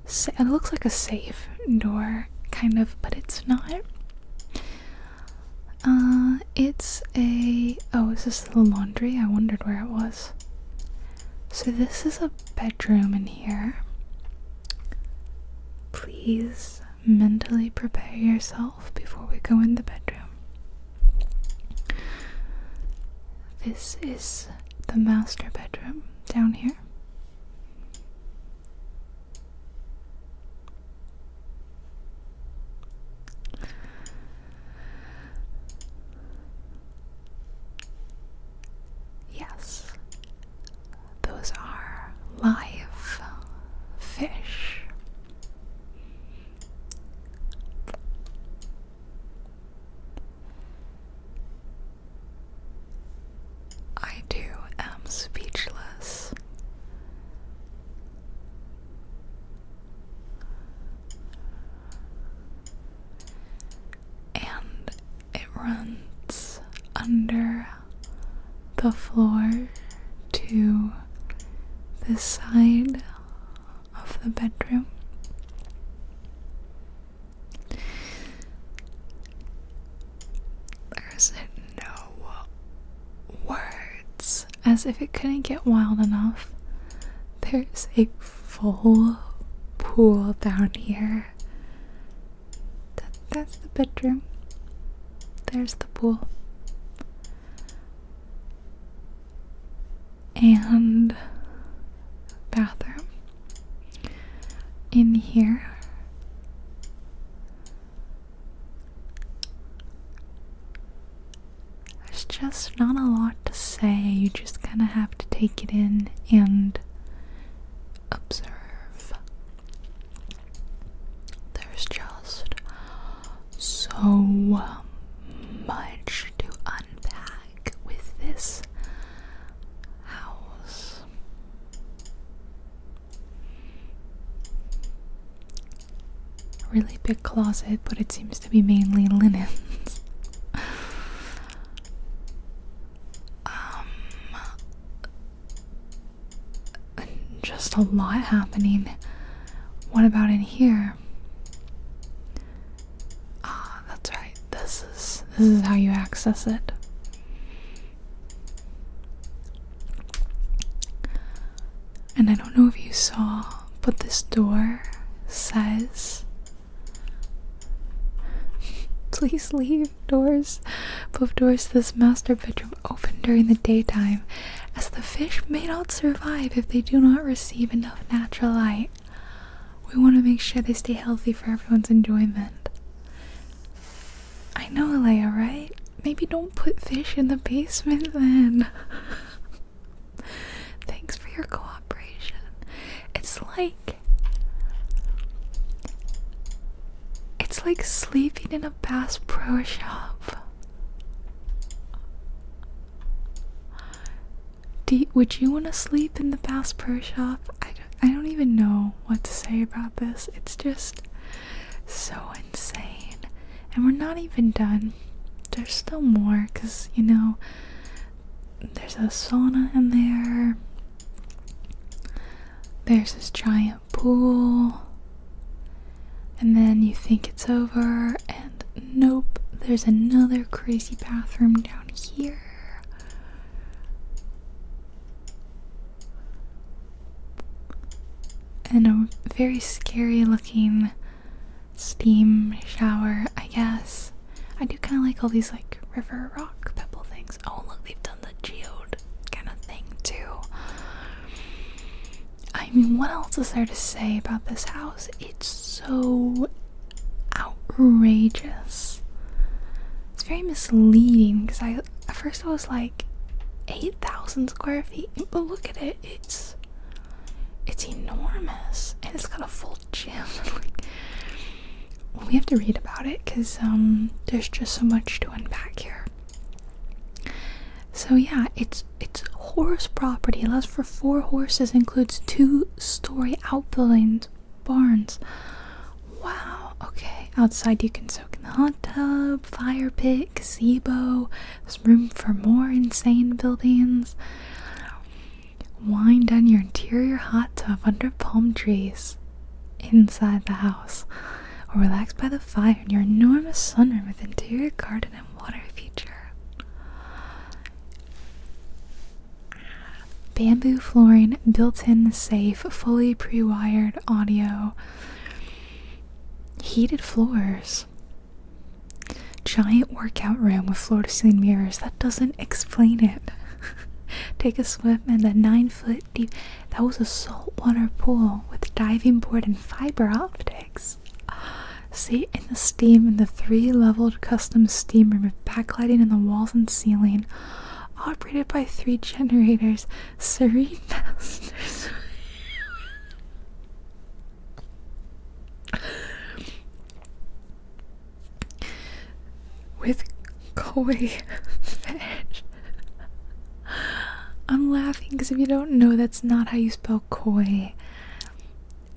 it looks like a safe door, kind of, but it's not. Uh, it's a oh, is this the laundry? I wondered where it was. So this is a bedroom in here. Please mentally prepare yourself before we go in the bedroom. This is the master bedroom down here. Yes, those are live fish. I do am speechless. And it runs under the floor to the side of the bedroom. There no words. As if it couldn't get wild enough, there's a full pool down here. that's the bedroom. There's the pool. And bathroom in here. There's just not a lot to say. You just kind of have to take it in and observe. There's just so much to unpack with this house. Really big closet, but it seems to be mainly linens. um, just a lot happening. What about in here? Ah, that's right. This this is how you access it. And I don't know if you saw, but this door says Please leave doors. Both doors to this master bedroom open during the daytime, as the fish may not survive if they do not receive enough natural light. We want to make sure they stay healthy for everyone's enjoyment. I know, Leia, right? Maybe don't put fish in the basement then. Thanks for your cooperation. It's like. It's like sleeping in a Bass Pro shop. Do would you want to sleep in the Bass Pro shop? I don't, I don't even know what to say about this. It's just so insane. And we're not even done. There's still more because, you know, there's a sauna in there. There's this giant pool. And then you think it's over, and nope, there's another crazy bathroom down here and a very scary looking steam shower, I guess. I do kind of like all these like river rock pebble things. Oh, look, they've done the geode kind of thing too. I mean, what else is there to say about this house? It's so outrageous. It's very misleading because I at first I was like 8,000 square feet, but look at it. It's it's enormous and it's got a full gym. we have to read about it because um, there's just so much to unpack here. So yeah, it's it's horse property. It allows for four horses, includes two-story outbuildings barns. Wow, okay. Outside you can soak in the hot tub, fire pit, gazebo. There's room for more insane buildings. Wind down your interior hot tub under palm trees inside the house. Or relax by the fire in your enormous sunroom with interior garden and water feature. Bamboo flooring, built in safe, fully pre wired audio, heated floors, giant workout room with floor to ceiling mirrors. That doesn't explain it. Take a swim in the nine foot deep. That was a saltwater pool with diving board and fiber optics. See in the steam in the three leveled custom steam room with backlighting in the walls and ceiling operated by three generators, serene masters. With koi fish. I'm laughing because if you don't know, that's not how you spell koi.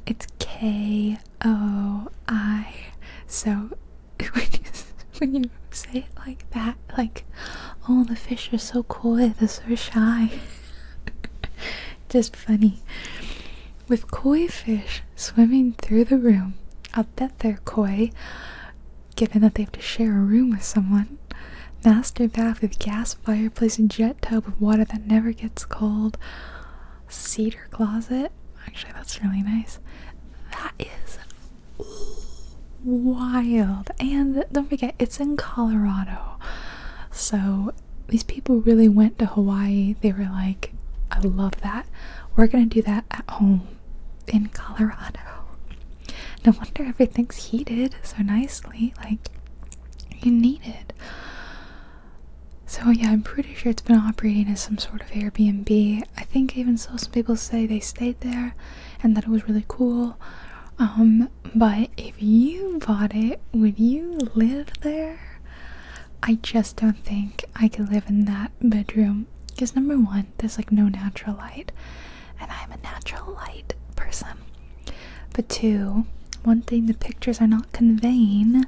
It's K O I. So when you, say it like that, like, oh, the fish are so coy, they're so shy. Just funny. With koi fish swimming through the room, I'll bet they're koi, given that they have to share a room with someone. Master bath with gas fireplace and jet tub of water that never gets cold. Cedar closet. Actually, that's really nice. That is wild. And don't forget, it's in Colorado. So these people really went to Hawaii. They were like, I love that. We're going to do that at home in Colorado. No wonder everything's heated so nicely. Like, you need it. So, yeah, I'm pretty sure it's been operating as some sort of Airbnb. I think even saw some people say they stayed there and that it was really cool. Um, but if you bought it, would you live there? I just don't think I could live in that bedroom. Because number one, there's like no natural light. And I'm a natural light person. But two, one thing the pictures are not conveying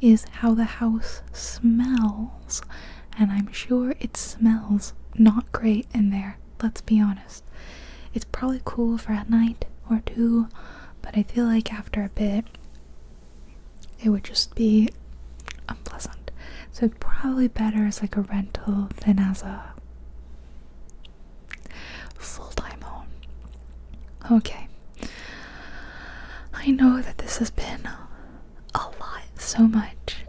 is how the house smells and I'm sure it smells not great in there, let's be honest. It's probably cool for a night or two, but I feel like after a bit it would just be unpleasant. So probably better as like a rental than as a full-time home. Okay. I know that this has been a lot so much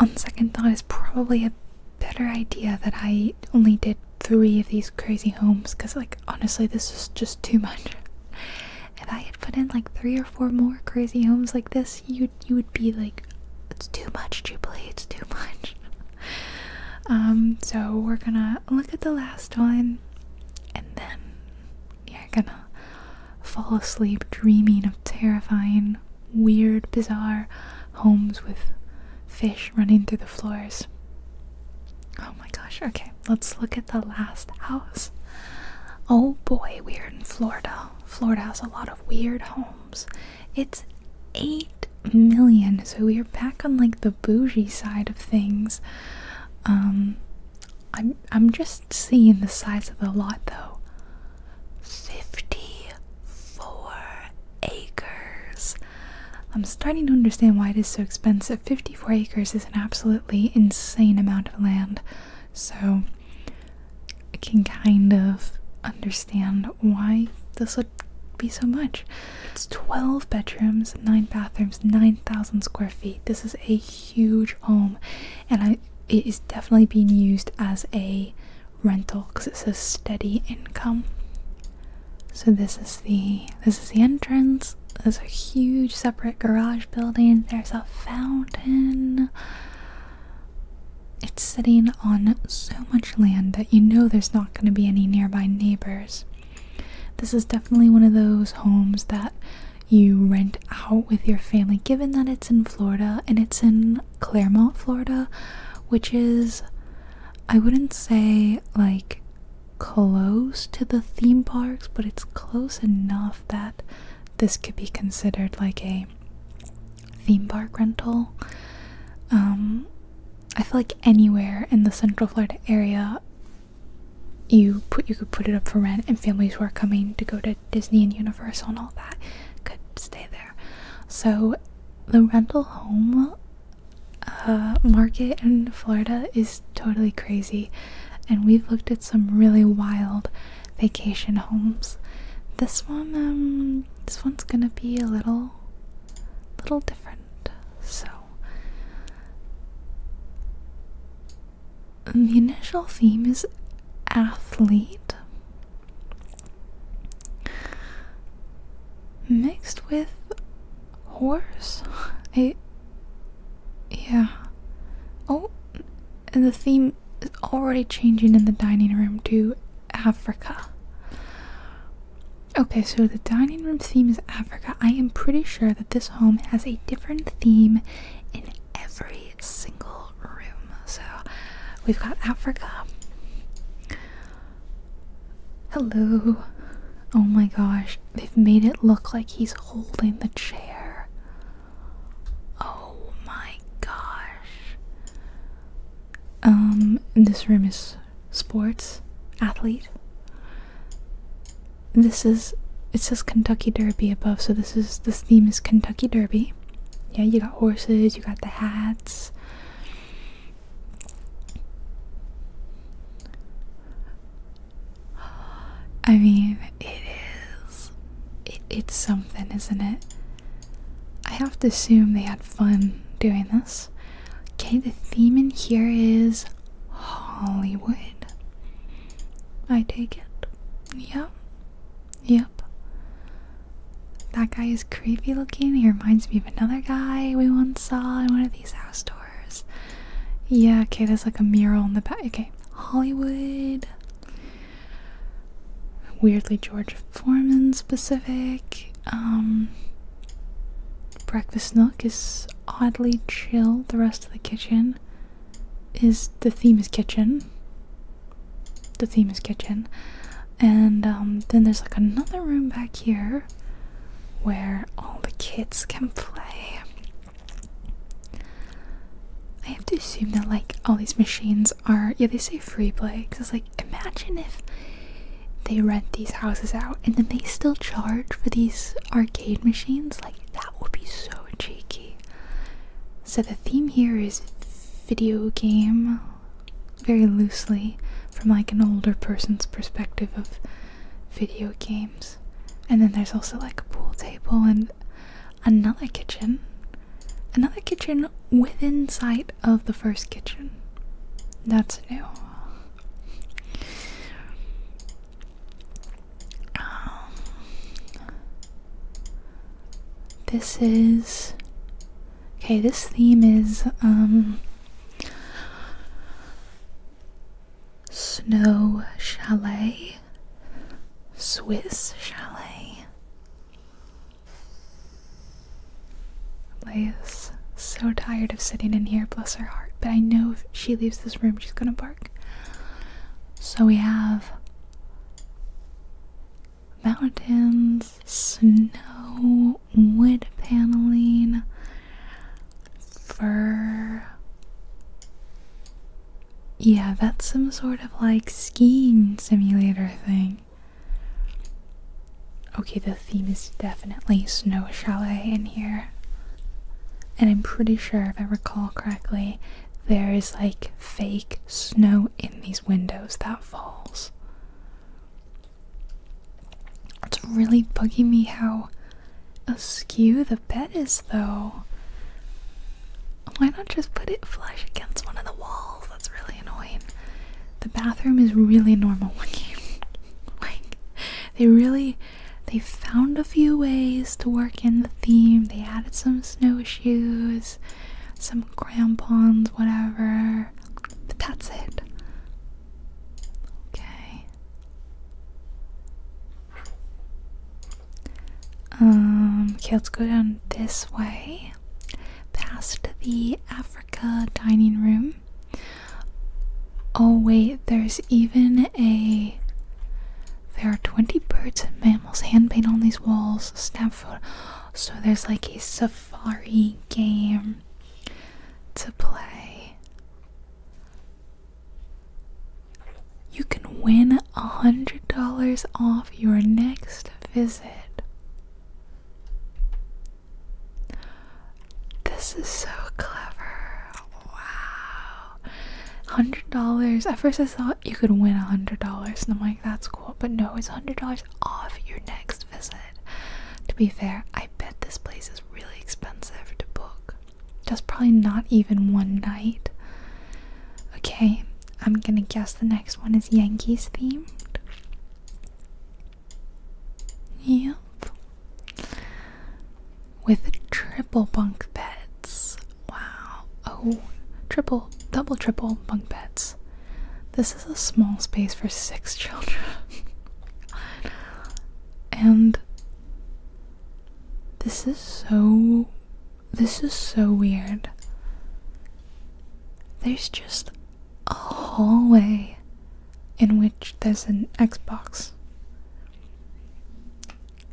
on second thought is probably a better idea that i only did three of these crazy homes because like honestly this is just too much if i had put in like three or four more crazy homes like this you you would be like it's too much jubilee it's too much um so we're gonna look at the last one and then you're gonna fall asleep dreaming of terrifying, weird, bizarre homes with fish running through the floors. Oh my gosh, okay, let's look at the last house. Oh boy, we are in Florida. Florida has a lot of weird homes. It's 8 million, so we are back on like the bougie side of things. Um, I'm I'm just seeing the size of the lot though. 54 acres. I'm starting to understand why it is so expensive. 54 acres is an absolutely insane amount of land. So I can kind of understand why this would be so much. It's 12 bedrooms, 9 bathrooms, 9,000 square feet. This is a huge home. And I it is definitely being used as a rental because it says steady income. So this is the this is the entrance. There's a huge separate garage building. There's a fountain. It's sitting on so much land that you know there's not going to be any nearby neighbors. This is definitely one of those homes that you rent out with your family, given that it's in Florida and it's in Claremont, Florida, which is, I wouldn't say like close to the theme parks, but it's close enough that this could be considered like a theme park rental. Um, I feel like anywhere in the Central Florida area you put you could put it up for rent and families who are coming to go to Disney and Universal and all that could stay there. So the rental home uh, market in Florida is totally crazy, and we've looked at some really wild vacation homes. This one, um, this one's gonna be a little, little different. So um, the initial theme is athlete, mixed with horse. I, yeah. Oh, and the theme is already changing in the dining room to Africa. Okay, so the dining room theme is Africa. I am pretty sure that this home has a different theme in every single room. So we've got Africa. Hello. Oh my gosh. They've made it look like he's holding the chair. Oh my gosh. Um, this room is sports, athlete. This is it says Kentucky Derby above, so this is this theme is Kentucky Derby yeah, you got horses, you got the hats. I mean, it is. it's something, isn't it? I have to assume they had fun doing this. Okay, the theme in here is Hollywood. I take it. Yeah. Yep. That guy is creepy looking. He reminds me of another guy we once saw in one of these house tours. Yeah, okay, there's like a mural in the back. Okay, Hollywood. Weirdly George Foreman specific. Um, breakfast nook is oddly chill, the rest of the kitchen is the theme is kitchen. The theme is kitchen. And um, then there's like another room back here where all the kids can play. I have to assume that like all these machines are, yeah, they say free play because it's like imagine if they rent these houses out and then they still charge for these arcade machines. Like that would be so cheeky. So the theme here is video game, very loosely, from like an older person's perspective of video games. And then there's also like a pool table and another kitchen. Another kitchen within sight of the first kitchen. That's new. Um, this is okay. This theme is um snow chalet, Swiss chalet. Leia's so tired of sitting in here, bless her heart. But I know if she leaves this room, she's gonna bark. So we have mountains, snow, wood paneling, fur. Yeah, that's some sort of like skiing simulator thing. Okay, the theme is definitely snow chalet in here. And I'm pretty sure, if I recall correctly, there is like fake snow in these windows that falls. It's really bugging me how askew the bed is, though. Why not just put it flush against one of the walls? That's really annoying. The bathroom is really normal looking. like, they really. They found a few ways to work in the theme. They added some snowshoes some crampons, whatever. that's it. Okay. Um, okay, let's go down this way. Past the Africa dining room. Oh, wait, there's even a. There are 20 birds and mammals hand painted on these walls. Snap photo. So there's like a safari game to play. You can win a hundred dollars off your next visit. This is so clever. Wow. $100. At first I thought you could win $100 and I'm like that's cool but no, it's $100 off your next visit. To be fair, I bet this place is really expensive to book. Just probably not even one night. Okay, I'm gonna guess the next one is Yankees themed. Yep. With triple bunk beds. Wow. Oh, triple, double, triple bunk beds. This is a small space for six children. and this is so. This is so weird. There's just a hallway in which there's an Xbox.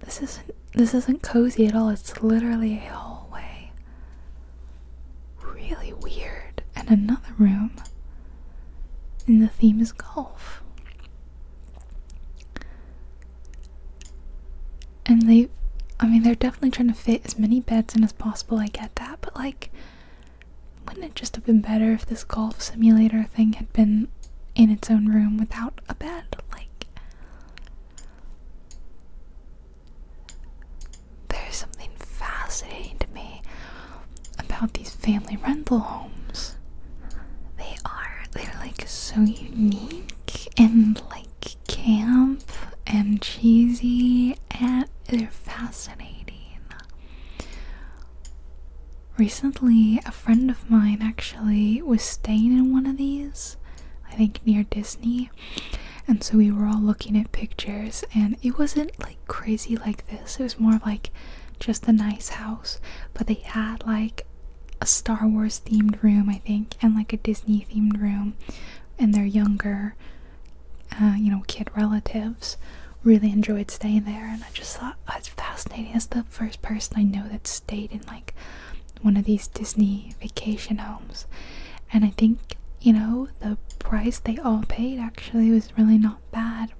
This isn't this isn't cozy at all. It's literally a hallway really weird and another room and the theme is golf and they i mean they're definitely trying to fit as many beds in as possible i get that but like wouldn't it just have been better if this golf simulator thing had been in its own room without a bed like there's something fascinating to me about these family rental homes. They are, they're like so unique and like camp and cheesy and they're fascinating. Recently, a friend of mine actually was staying in one of these, I think near Disney, and so we were all looking at pictures, and it wasn't like crazy like this. It was more like just a nice house, but they had like a Star Wars themed room, I think, and like a Disney themed room, and their younger, uh, you know, kid relatives really enjoyed staying there. And I just thought it's fascinating. As the first person I know that stayed in like one of these Disney vacation homes. And I think, you know, the price they all paid actually was really not bad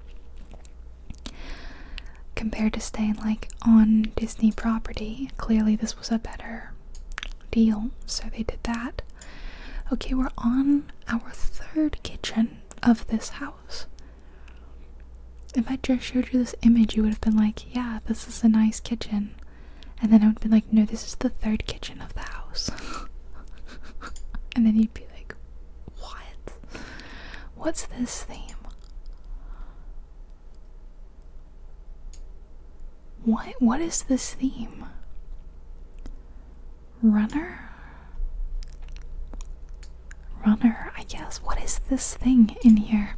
compared to staying like on Disney property. Clearly, this was a better deal, so they did that. Okay, we're on our third kitchen of this house. If I just showed you this image, you would have been like, yeah, this is a nice kitchen and then I would be like, no, this is the third kitchen of the house. and then you'd be like, what? What's this theme? What what is this theme? Runner? Runner, I guess. What is this thing in here?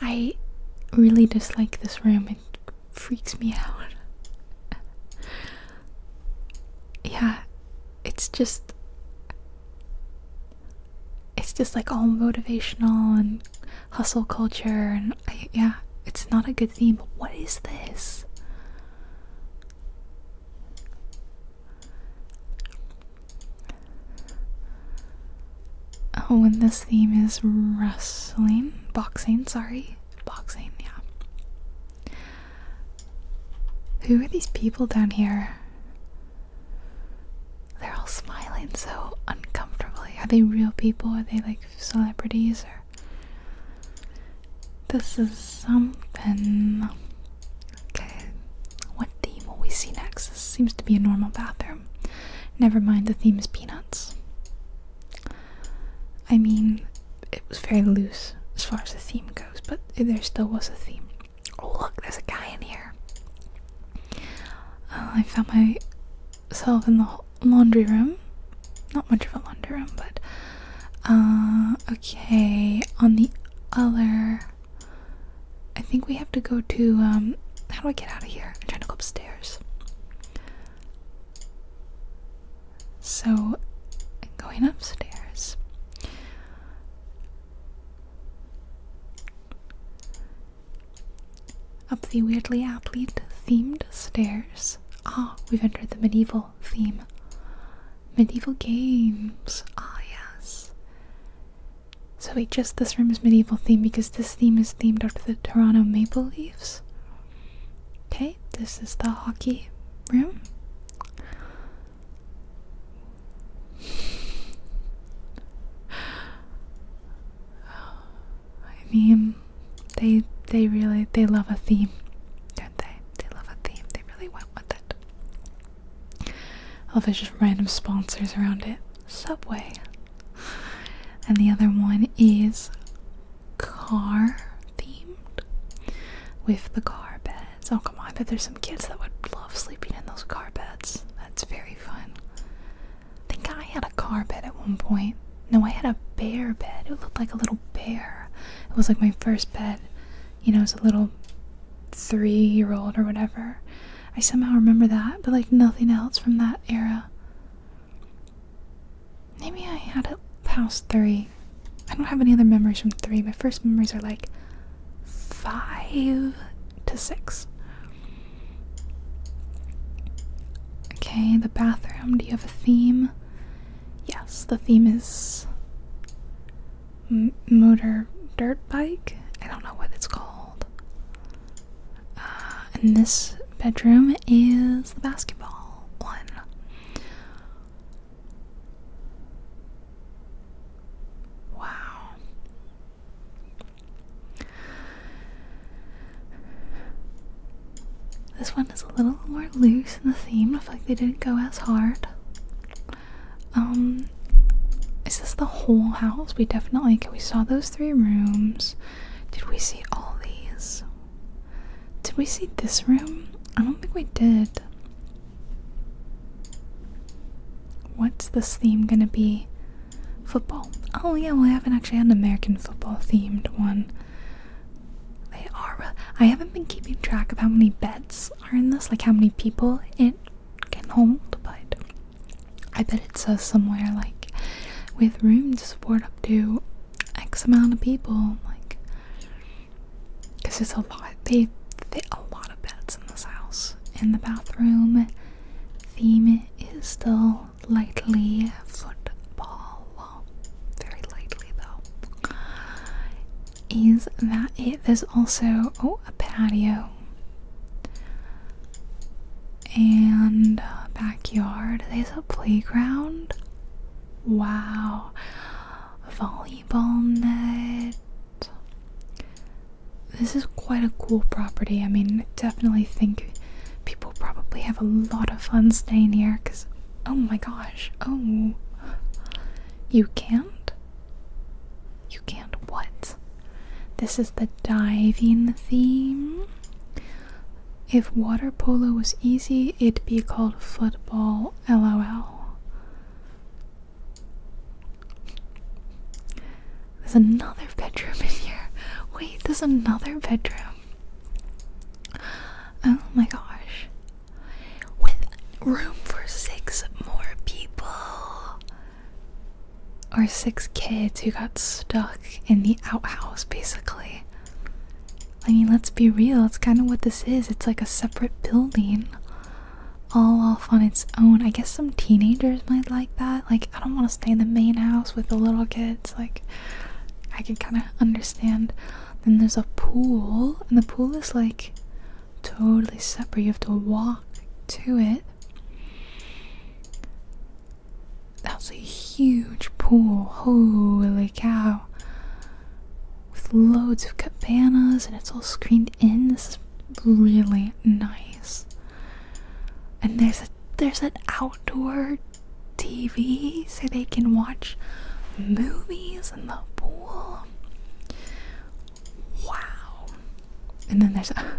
I really dislike this room. It freaks me out. yeah, it's just it's just like all motivational and hustle culture and yeah, it's not a good theme. But what is this? Oh, when this theme is wrestling, boxing, sorry, boxing, yeah. Who are these people down here? They're all smiling so uncomfortably. Are they real people? Are they like celebrities or this is something. Okay, what theme will we see next? This seems to be a normal bathroom. Never mind, the theme is peanuts. I mean, it was very loose as far as the theme goes, but there still was a theme. Oh, look, there's a guy in here. Uh, I found myself in the laundry room. Not much of a laundry room, but uh, okay, on the other, I think we have to go to, um, how do I get out of here? I'm trying to go upstairs. So, going upstairs. Up the weirdly athlete themed stairs. Ah, we've entered the medieval theme. Medieval games. Ah, yes. So we just this room is medieval theme because this theme is themed after the Toronto Maple Leafs. Okay, this is the hockey room. I mean, they they really they love a theme, don't they? They love a theme. They really went with it of oh, it's just random sponsors around it. Subway. And the other one is car themed with the car beds. Oh come on, I bet there's some kids that would love sleeping in those car beds. That's very fun. I think I had a car bed at one point. No, I had a bear bed. It looked like a little bear. It was like my first bed. You know, it's a little three year old or whatever. I somehow remember that, but like nothing else from that era. Maybe I had it past three. I don't have any other memories from three. My first memories are like five to six. Okay, the bathroom. Do you have a theme? Yes, the theme is motor dirt bike. I don't know what it's called. Uh, and this bedroom is the basketball one. Wow. This one is a little more loose in the theme. I feel like they didn't go as hard. Um, is this the whole house? We definitely we saw those three rooms. Did we see all these? Did we see this room? I don't think we did. What's this theme gonna be? Football. Oh yeah, well I haven't actually had an American football themed one. They are. Uh, I haven't been keeping track of how many beds are in this, like how many people it can hold, but I bet it says somewhere like with room to support up to X amount of people, like because there's a lot. They fit a lot of beds in this house. In the bathroom, theme is still lightly football, very lightly though is that it? There's also oh a patio and a backyard. There's a playground. Wow, volleyball net. This is quite a cool property. I mean, definitely think people probably have a lot of fun staying here because oh my gosh, oh, you can't? You can't what? This is the diving theme. If water polo was easy, it'd be called football LOL. There's another bedroom in here. Wait, there's another bedroom. Oh my gosh with room for six more people. Or six kids who got stuck in the outhouse, basically. I mean, let's be real, it's kind of what this is. It's like a separate building, all off on its own. I guess some teenagers might like that. Like, I don't want to stay in the main house with the little kids. Like, I could kind of understand. Then there's a pool, and the pool is like totally separate. You have to walk to it. That's a huge pool. Holy cow. With loads of cabanas and it's all screened in. This is really nice. And there's a there's an outdoor TV so they can watch movies in the pool. Wow. And then there's uh,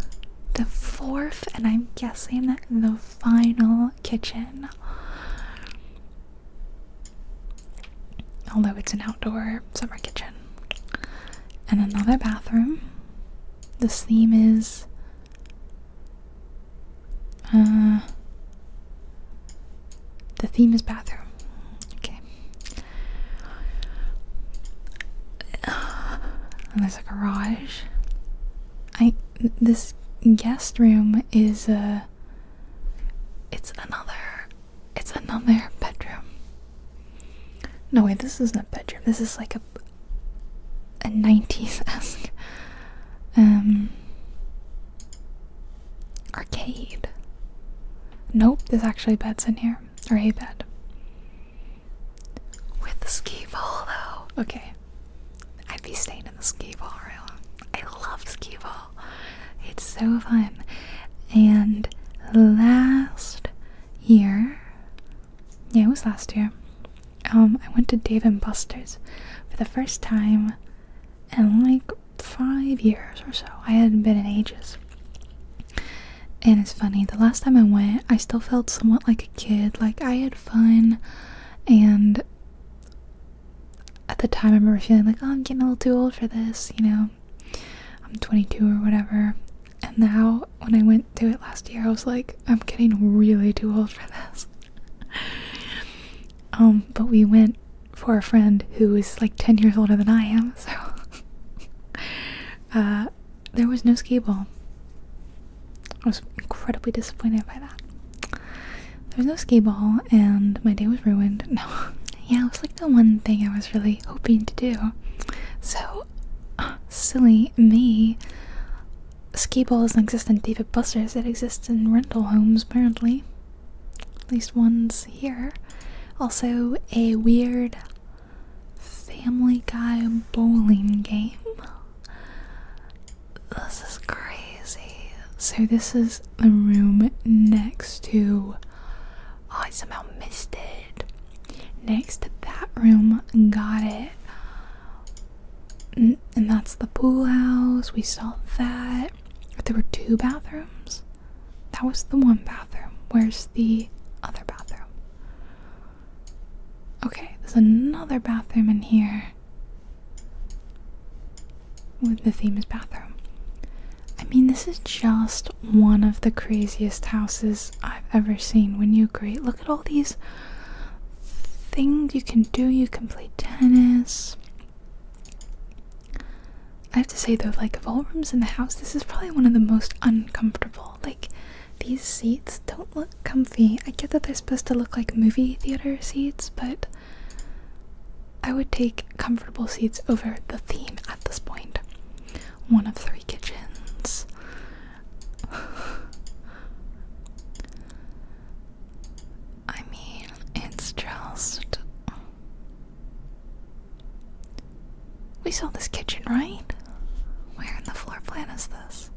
the fourth, and I'm guessing the final kitchen. Although it's an outdoor summer kitchen. And another bathroom. This theme is. Uh, the theme is bathroom. Okay. there's a garage. I this guest room is a. Uh, it's another. It's another bedroom. No way. this isn't a bedroom. This is like a a nineties esque um arcade. Nope, there's actually beds in here or a bed. With the skee ball though. Okay. I'd be staying in the ski ball room. I love ski ball. It's so fun. And last year yeah, it was last year. Um, I went to Dave and Buster's for the first time and like five years or so. I hadn't been in ages. And it's funny, the last time I went, I still felt somewhat like a kid. Like, I had fun, and at the time, I remember feeling like, oh, I'm getting a little too old for this, you know, I'm 22 or whatever. And now, when I went to it last year, I was like, I'm getting really too old for this. um, but we went for a friend who is like 10 years older than I am, so Uh, there was no ski ball. I was incredibly disappointed by that. There was no ski ball, and my day was ruined. No, yeah, it was like the one thing I was really hoping to do. So silly me. Ski ball doesn't exist in David Buster's. It exists in rental homes, apparently. At least ones here. Also, a weird Family Guy bowling game. This is crazy. So, this is the room next to. Oh, I somehow missed it. Next to that room, got it. And that's the pool house. We saw that. There were two bathrooms. That was the one bathroom. Where's the other bathroom? Okay, there's another bathroom in here. With the theme is bathroom. I mean, this is just one of the craziest houses I've ever seen. When you agree, look at all these things you can do. You can play tennis. I have to say though, like of all rooms in the house, this is probably one of the most uncomfortable. Like these seats don't look comfy. I get that they're supposed to look like movie theater seats, but I would take comfortable seats over the theme at this point. One of three kitchens. I mean, it's just we saw this kitchen, right? Where in the floor plan is this?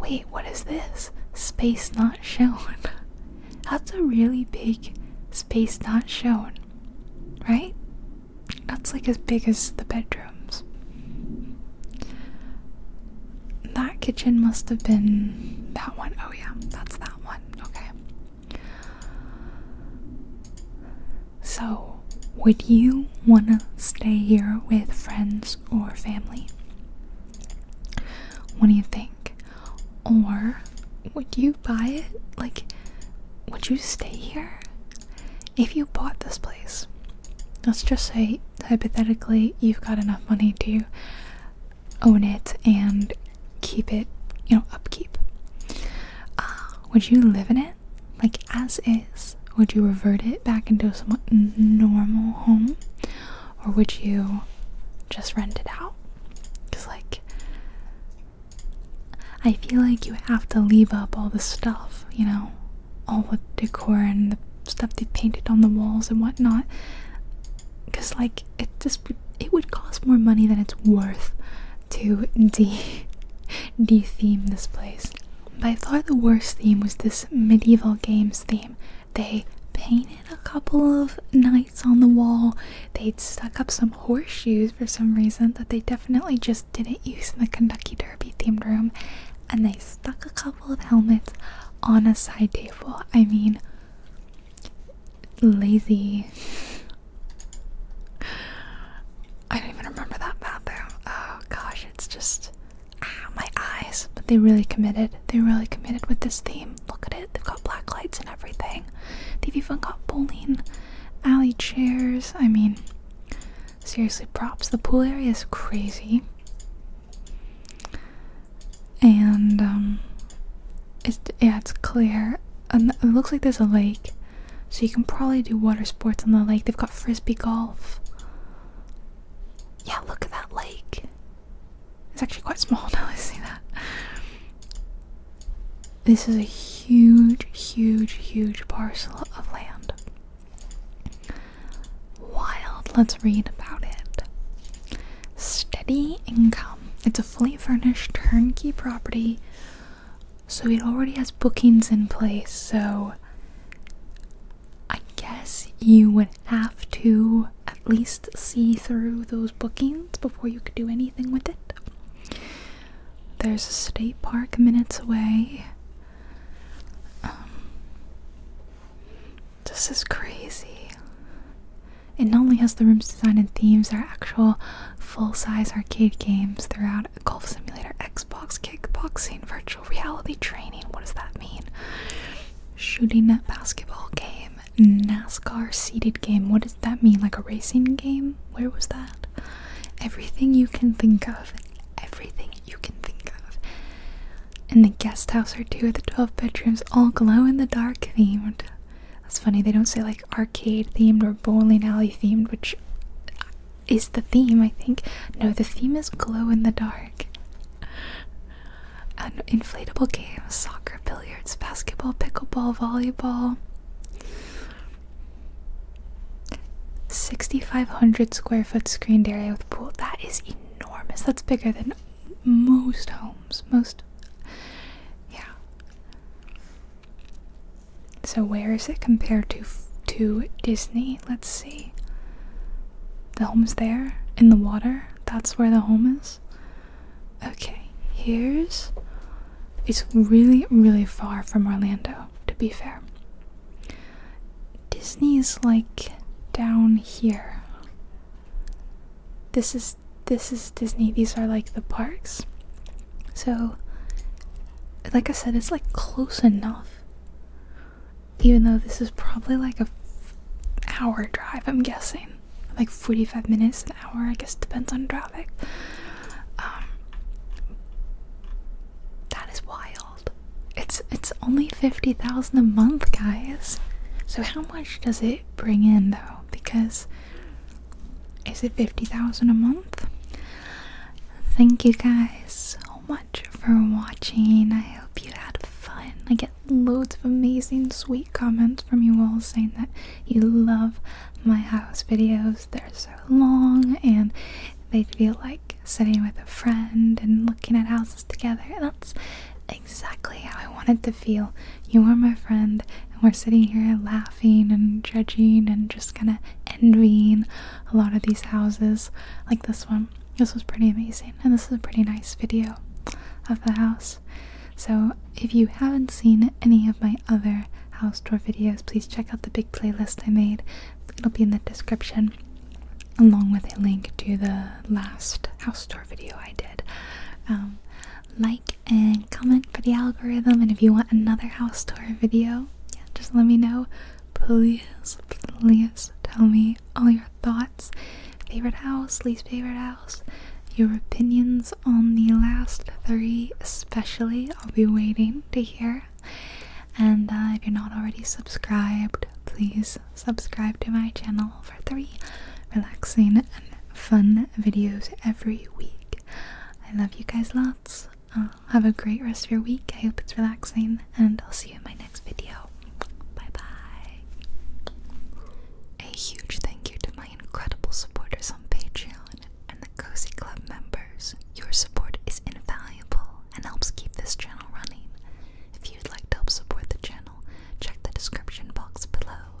Wait, what is this? Space not shown. That's a really big space not shown, right? That's like as big as the bedrooms. That kitchen must have been that one. Oh, yeah, that's that one okay. So, would you want to stay here with friends or family? What do you think? Or would you buy it? Like, would you stay here? If you bought this place, let's just say hypothetically you've got enough money to own it and keep it, you know, upkeep. Uh, would you live in it, like as is? Would you revert it back into a somewhat normal home, or would you just rent it out? Because, like, I feel like you have to leave up all the stuff, you know, all the decor and the stuff they painted on the walls and whatnot. Because, like, it just it would cost more money than it's worth to de de-theme this place. By far the worst theme was this medieval games theme. They painted a couple of knights on the wall. They'd stuck up some horseshoes for some reason that they definitely just didn't use in the Kentucky Derby themed room. And they stuck a couple of helmets on a side table. I mean, lazy. I don't even remember that bathroom. Oh gosh, it's just ah, my eyes. But they really committed. They really committed with this theme. Look at it. They've got black lights and everything. They've even got bowling alley chairs. I mean, seriously, props. The pool area is crazy and um, it's yeah, it's clear, it looks like there's a lake, so you can probably do water sports on the lake. They've got frisbee golf. Yeah, look at that lake. It's actually quite small now. I see that. This is a huge, huge, huge parcel of land. Wild. Let's read about it steady income. It's a fully furnished turnkey property, so it already has bookings in place. So I guess you would have to at least see through those bookings before you could do anything with it. There's a state park minutes away. Um, this is crazy. It not only has the room's design and themes, there are actual full-size arcade games throughout Golf Simulator, Xbox, kickboxing, virtual reality training. What does that mean? Shooting net basketball game, NASCAR seated game. What does that mean? Like a racing game? Where was that? Everything you can think of. Everything you can think of. And the guest house are two of the 12 bedrooms, all glow in the dark themed. That's funny, they don't say like arcade themed or bowling alley themed, which is the theme, I think. No, the theme is glow in the dark. An inflatable games, soccer, billiards, basketball, pickleball, volleyball. 6,500 square foot screened area with pool. That is enormous. That's bigger than most homes. Most, yeah. So where is it compared to to Disney? Let's see. The home's there in the water. That's where the home is. Okay, here's. It's really, really far from Orlando. To be fair, Disney is like down here this is this is Disney. These are like the parks. So like I said, it's like close enough. Even though this is probably like a hour drive, I'm guessing. Like 45 minutes, an hour, I guess depends on traffic. Um, that is wild. It's it's only 50,000 a month, guys. So how much does it bring in though? Because is it 50,000 a month? Thank you guys so much for watching. I hope you had fun. I get loads of amazing, sweet comments from you all saying that you love my house videos. They're so long and they feel like sitting with a friend and looking at houses together. That's exactly how I wanted to feel. You are my friend, and we're sitting here laughing and judging and just kind of envying a lot of these houses, like this one. This was pretty amazing, and this is a pretty nice video of the house. So, if you haven't seen any of my other house tour videos, please check out the big playlist I made. It'll be in the description, along with a link to the last house tour video I did. Um, like and comment for the algorithm. And if you want another house tour video, just let me know. Please, please tell me all your thoughts, favorite house, least favorite house, your opinions on the last three, especially. I'll be waiting to hear. And uh, if you're not already subscribed, please subscribe to my channel for three relaxing and fun videos every week. I love you guys lots. Uh, have a great rest of your week. I hope it's relaxing, and I'll see you in my next video. Bye bye. A huge thank you to my incredible supporters on Patreon and the Cozy Club members. Your support is invaluable and helps keep this channel running. If you'd like to help support the channel, check the description box below.